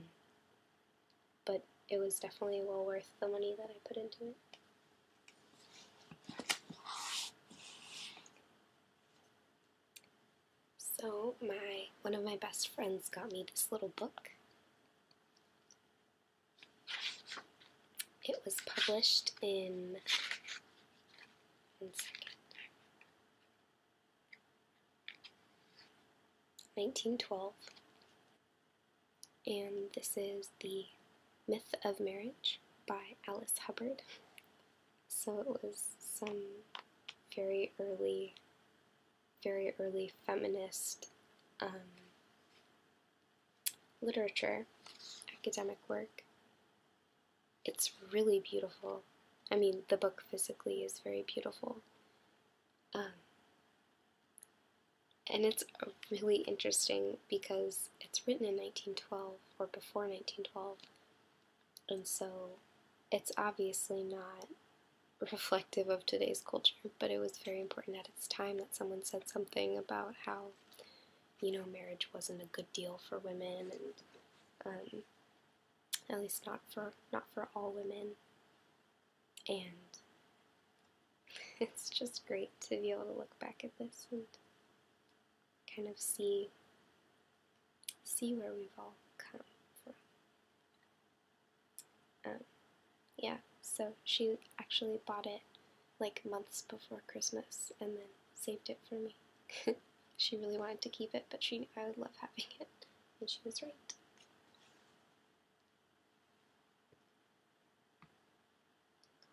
Speaker 1: but it was definitely well worth the money that I put into it. So my one of my best friends got me this little book. It was published in 1912. And this is The Myth of Marriage by Alice Hubbard. So it was some very early, very early feminist um, literature, academic work. It's really beautiful. I mean, the book physically is very beautiful. Um, and it's really interesting because it's written in 1912 or before 1912, and so it's obviously not reflective of today's culture, but it was very important at its time that someone said something about how, you know, marriage wasn't a good deal for women, and um, at least not for not for all women. And *laughs* it's just great to be able to look back at this and kind of see see where we've all come from. Um, yeah, so she actually bought it like months before Christmas and then saved it for me. *laughs* she really wanted to keep it, but she knew I would love having it, and she was right.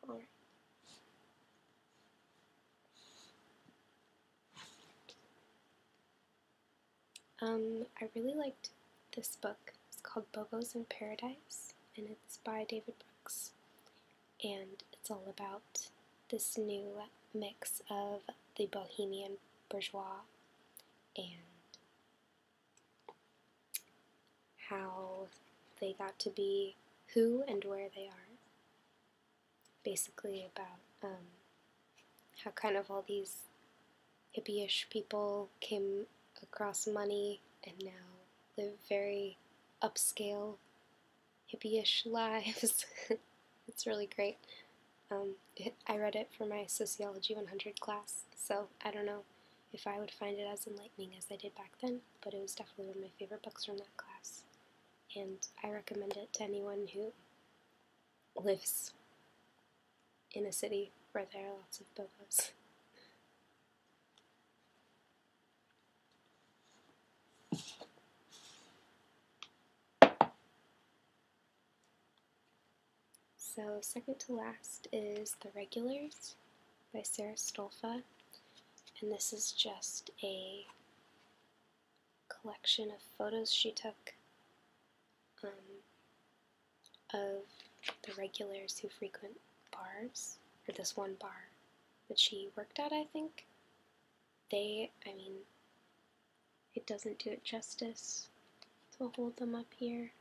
Speaker 1: All right. Um, I really liked this book. It's called *Bogos in Paradise, and it's by David Brooks. And it's all about this new mix of the bohemian bourgeois and how they got to be who and where they are basically about um, how kind of all these hippie-ish people came across money and now live very upscale hippie-ish *laughs* lives. it's really great. Um, I read it for my Sociology 100 class, so I don't know if I would find it as enlightening as I did back then, but it was definitely one of my favorite books from that class and I recommend it to anyone who lives in a city where there are lots of bobos. So, second to last is The Regulars by Sarah Stolfa, and this is just a collection of photos she took um, of the regulars who frequent bars, or this one bar that she worked at, I think. They, I mean, it doesn't do it justice to hold them up here.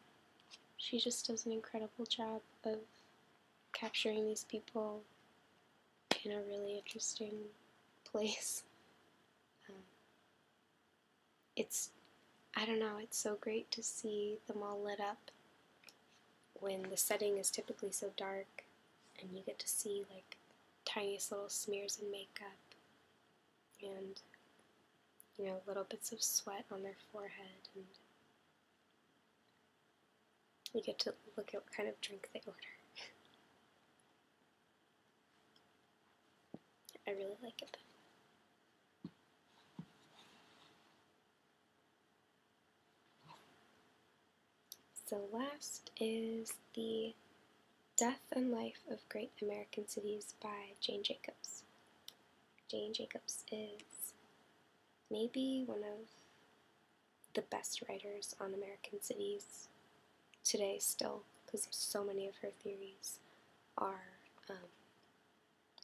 Speaker 1: She just does an incredible job of capturing these people in a really interesting place. *laughs* Um, it's, I don't know, it's so great to see them all lit up when the setting is typically so dark and you get to see like tiniest little smears of makeup and you know little bits of sweat on their forehead and you get to look at what kind of drink they order *laughs* I really like it. So last is The Death and Life of Great American Cities by Jane Jacobs. Jane Jacobs is maybe one of the best writers on American cities today still because so many of her theories are um,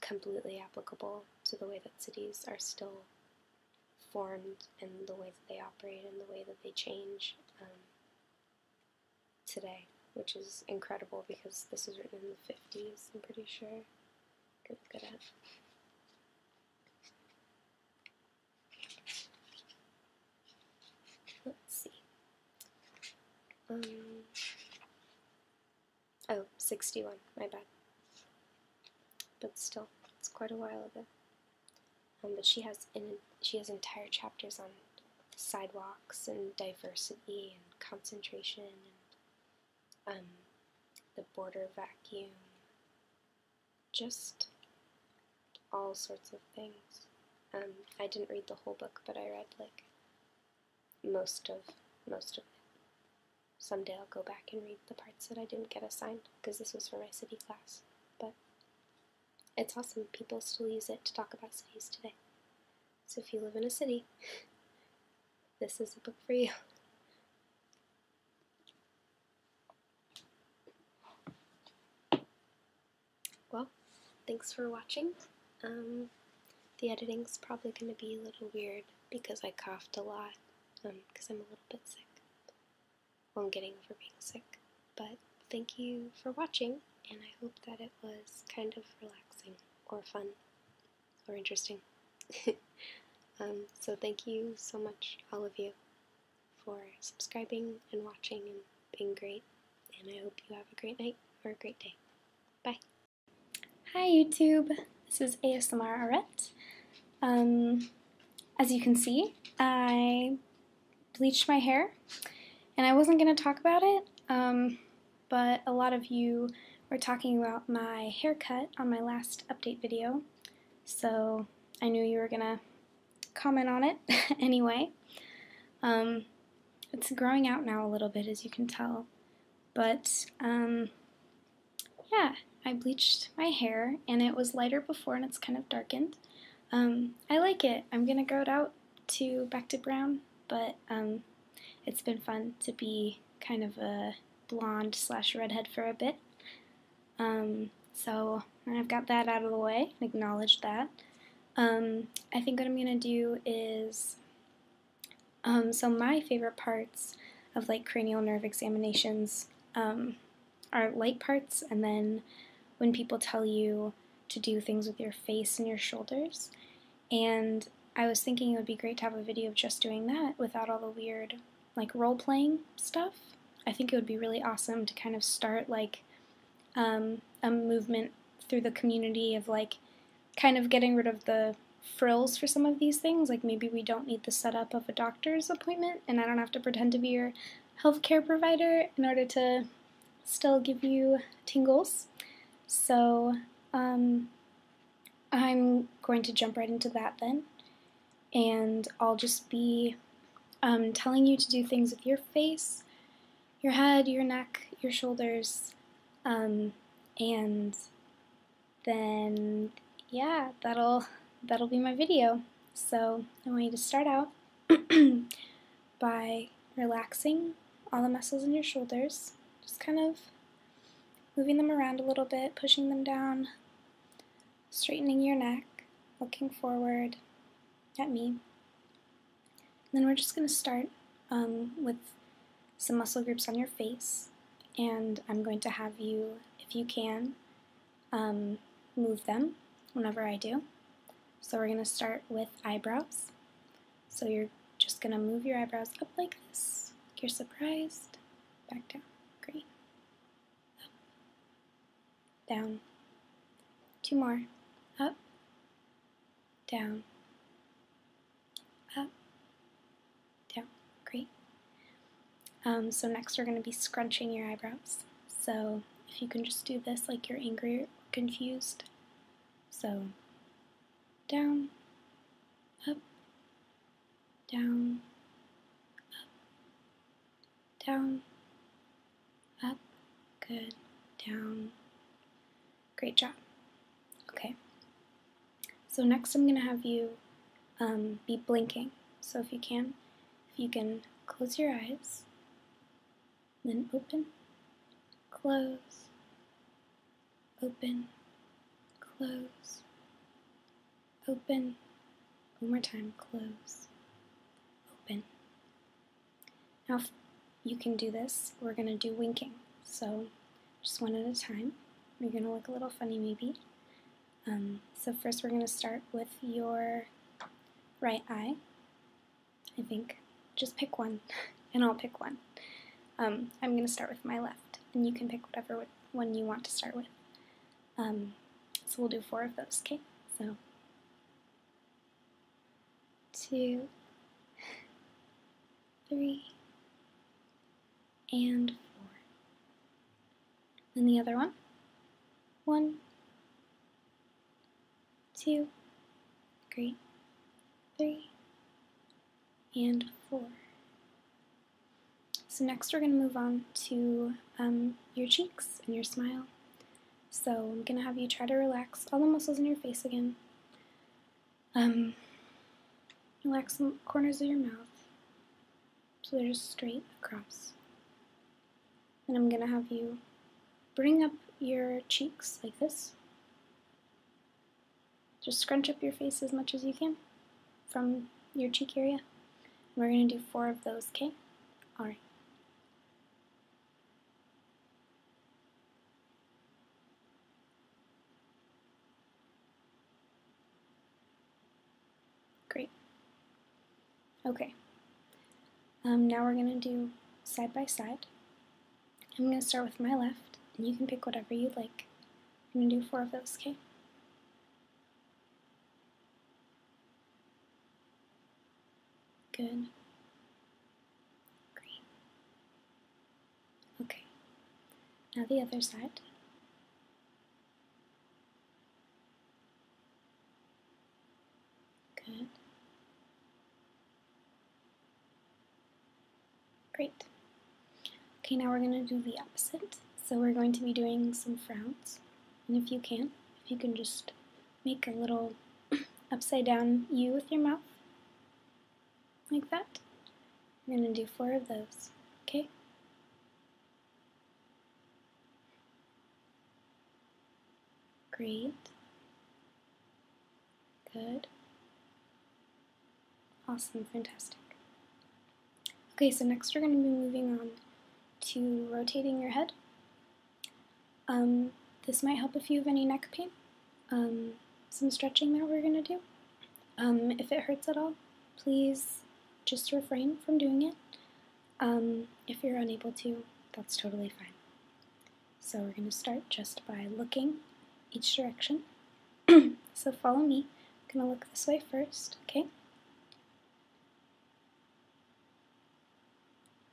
Speaker 1: completely applicable to the way that cities are still formed and the way that they operate and the way that they change um, today, which is incredible because this was written in the 50s, I'm pretty sure. Good, good Let's see. Um, oh, 61, my bad. But still, it's quite a while ago. Um, but she has in, she has entire chapters on sidewalks and diversity and concentration and um, the border vacuum just all sorts of things. Um, I didn't read the whole book, but I read like most of most of it. Someday I'll go back and read the parts that I didn't get assigned because this was for my city class. But it's awesome. People still use it to talk about cities today. So if you live in a city, *laughs* this is a book for you well, thanks for watching. Um, the editing's probably going to be a little weird because I coughed a lot because um, I'm a little bit sick. Well, I'm getting over being sick. But thank you for watching, and I hope that it was kind of relaxing or fun or interesting. *laughs* Um, so thank you so much, all of you for subscribing and watching and being great. And I hope you have a great night or a great day. Bye. Hi, YouTube. This is ASMR Arette. Um, as you can see, I bleached my hair, and I wasn't going to talk about it, um, but a lot of you were talking about my haircut on my last update video, so I knew you were going to comment on it *laughs* anyway. Um, it's growing out now a little bit, as you can tell. But um, yeah, I bleached my hair, and it was lighter before, and it's kind of darkened. Um, I like it. I'm gonna grow it out to back to brown, but it's been fun to be kind of a blonde slash redhead for a bit. So I've got that out of the way, acknowledged that. Um, I think what I'm gonna do is, um, so my favorite parts of like cranial nerve examinations um, are light parts, and then when people tell you to do things with your face and your shoulders. And I was thinking it would be great to have a video of just doing that without all the weird like role playing stuff. I think it would be really awesome to kind of start like um, a movement through the community of like kind of getting rid of the frills for some of these things. Like maybe we don't need the setup of a doctor's appointment, and I don't have to pretend to be your healthcare provider in order to still give you tingles. So um, I'm going to jump right into that then, and I'll just be um, telling you to do things with your face, your head, your neck, your shoulders, um, and then yeah, that'll that'll be my video. So I want you to start out *clears throat* by relaxing all the muscles in your shoulders, just kind of moving them around a little bit, pushing them down, straightening your neck, looking forward at me, then we're just going to start um, with some muscle groups on your face, and I'm going to have you, if you can, um, move them whenever I do. So we're going to start with eyebrows. So you're just going to move your eyebrows up like this. You're surprised. Back down. Great down, two more, up, down, up, down. Great. Um, so next we're going to be scrunching your eyebrows. So if you can just do this like you're angry or confused. So down, up, down, up, down, up, good, down. Great job. Okay. So next I'm going to have you um, be blinking. So if you can, if you can close your eyes, then open, close, open, close, open, one more time, close, open, now you can do this, we're going to do winking. So just one at a time. You're going to look a little funny maybe. Um, so first we're going to start with your right eye, I think. Just pick one, *laughs* and I'll pick one. Um, I'm going to start with my left, and you can pick whatever one you want to start with. Um, so we'll do four of those, okay? So two, three, and four. And the other one: one, two, three, three, and four. So next we're going to move on to um, your cheeks and your smile. So I'm gonna have you try to relax all the muscles in your face again. Um, relax the corners of your mouth so they're just straight across. And I'm gonna have you bring up your cheeks like this. Just scrunch up your face as much as you can from your cheek area. We're gonna do four of those, okay? Alright. Great. Okay. Um, now we're going to do side by side. I'm going to start with my left, and you can pick whatever you like. I'm going to do four of those, okay? Good. Green. Okay. Now the other side. Good. Great. Okay, now we're going to do the opposite. So we're going to be doing some frowns. And if you can, if you can just make a little *clears throat* upside down U with your mouth, like that. I'm going to do four of those, okay? Great. Good. Awesome, fantastic. Okay, so next we're going to be moving on to rotating your head. Um, this might help if you have any neck pain. Um, some stretching that we're going to do. Um, if it hurts at all, please just refrain from doing it. if you're unable to, that's totally fine. So we're going to start just by looking each direction. *clears throat* so follow me. I'm going to look this way first, okay?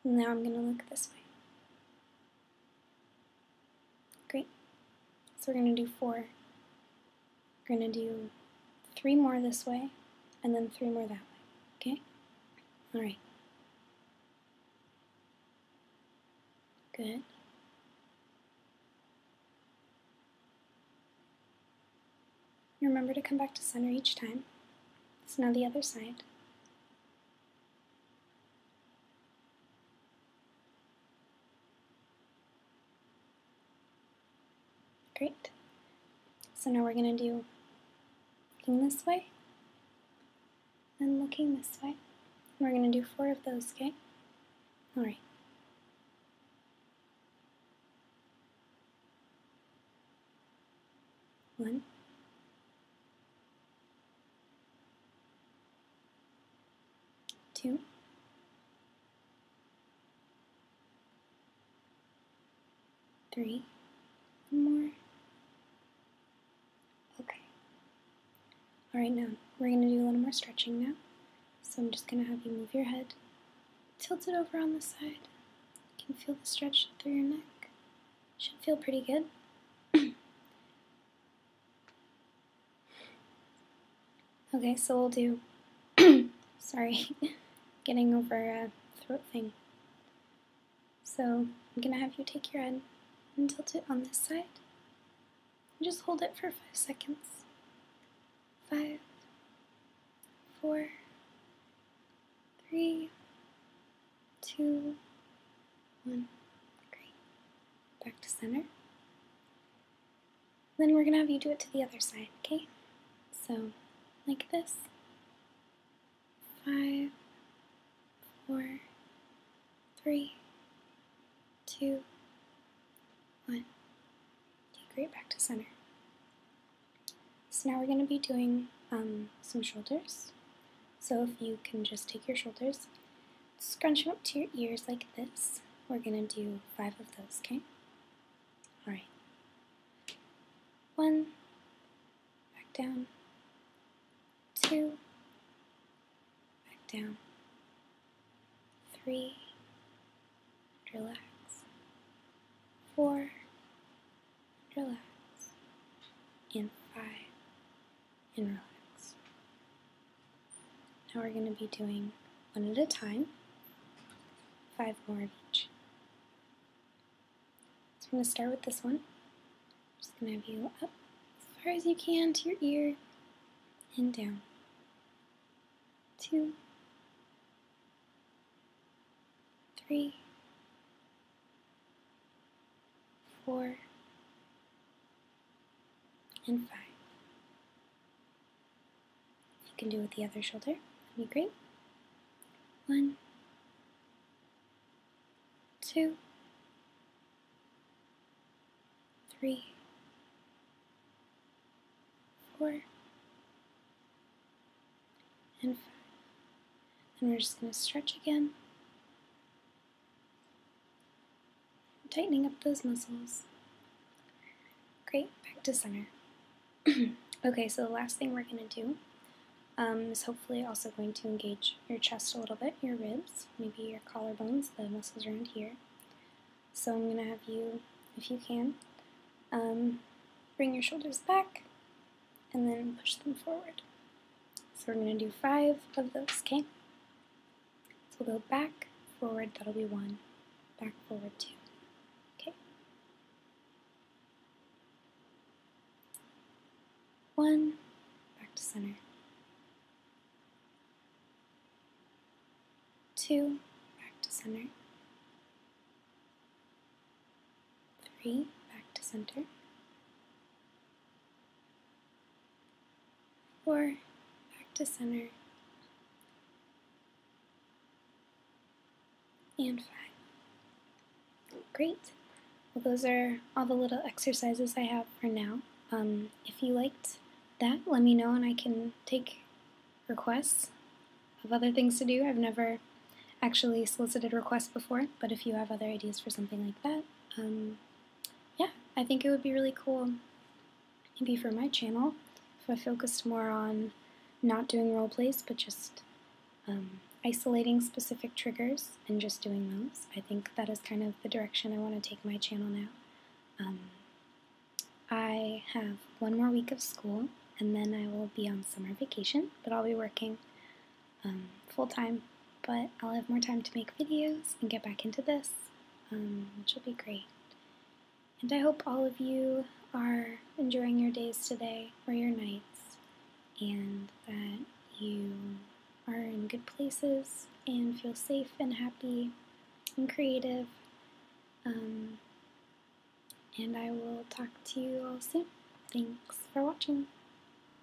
Speaker 1: Now I'm going to look this way. Great. So we're going to do four. We're going to do three more this way, and then three more that way. Okay? All right. Good. Remember to come back to center each time. So now the other side. Great. So now we're going to do looking this way and looking this way. We're going to do four of those, okay? Alright. One, two, three, more. Okay. All right, now we're going to do a little more stretching now. So I'm just going to have you move your head, tilt it over on the side. You can feel the stretch through your neck. Should feel pretty good. *coughs* okay, so we'll do. *coughs* sorry, *laughs* getting over a throat thing. So I'm gonna have you take your head and tilt it on this side. And just hold it for five seconds. Five, four, three, two, one. Great. Back to center. Then we're going to have you do it to the other side, okay? So, like this. Five, four, three, two, one. Okay, great. Back to center. So now we're going to be doing um, some shoulders. So if you can just take your shoulders, scrunch them up to your ears like this. We're going to do five of those, okay? Alright. One, back down, two, back down, three, relax, four, relax, and five, and relax. Now we're going to be doing one at a time, five more of each. So I'm going to start with this one. just going to have you up as far as you can to your ear and down. Two, three, four, and five. You can do with the other shoulder. That'd be great. One, two, three, four, and five. And we're just going to stretch again tightening up those muscles. Great, back to center. *clears throat* okay, so the last thing we're going to do um, is hopefully also going to engage your chest a little bit, your ribs, maybe your collarbones, the muscles around here. So I'm going to have you, if you can, um, bring your shoulders back, and then push them forward. So we're going to do five of those, okay? So we'll go back, forward, that'll be one, back, forward, two. Okay. One, back to center. Two, back to center. Three, back to center. Four, back to center and five. Great. Well, those are all the little exercises I have for now. Um, if you liked that, let me know and I can take requests of other things to do. I've never actually solicited requests before, but if you have other ideas for something like that, um, yeah, I think it would be really cool maybe for my channel if I focused more on not doing role plays but just um, isolating specific triggers and just doing those. I think that is kind of the direction I want to take my channel now. Um, I have one more week of school and then I will be on summer vacation, but I'll be working um, full time, but I'll have more time to make videos and get back into this, um, which will be great. And I hope all of you are enjoying your days today or your nights, and that you are in good places and feel safe and happy and creative. Um, and I will talk to you all soon. Thanks for watching.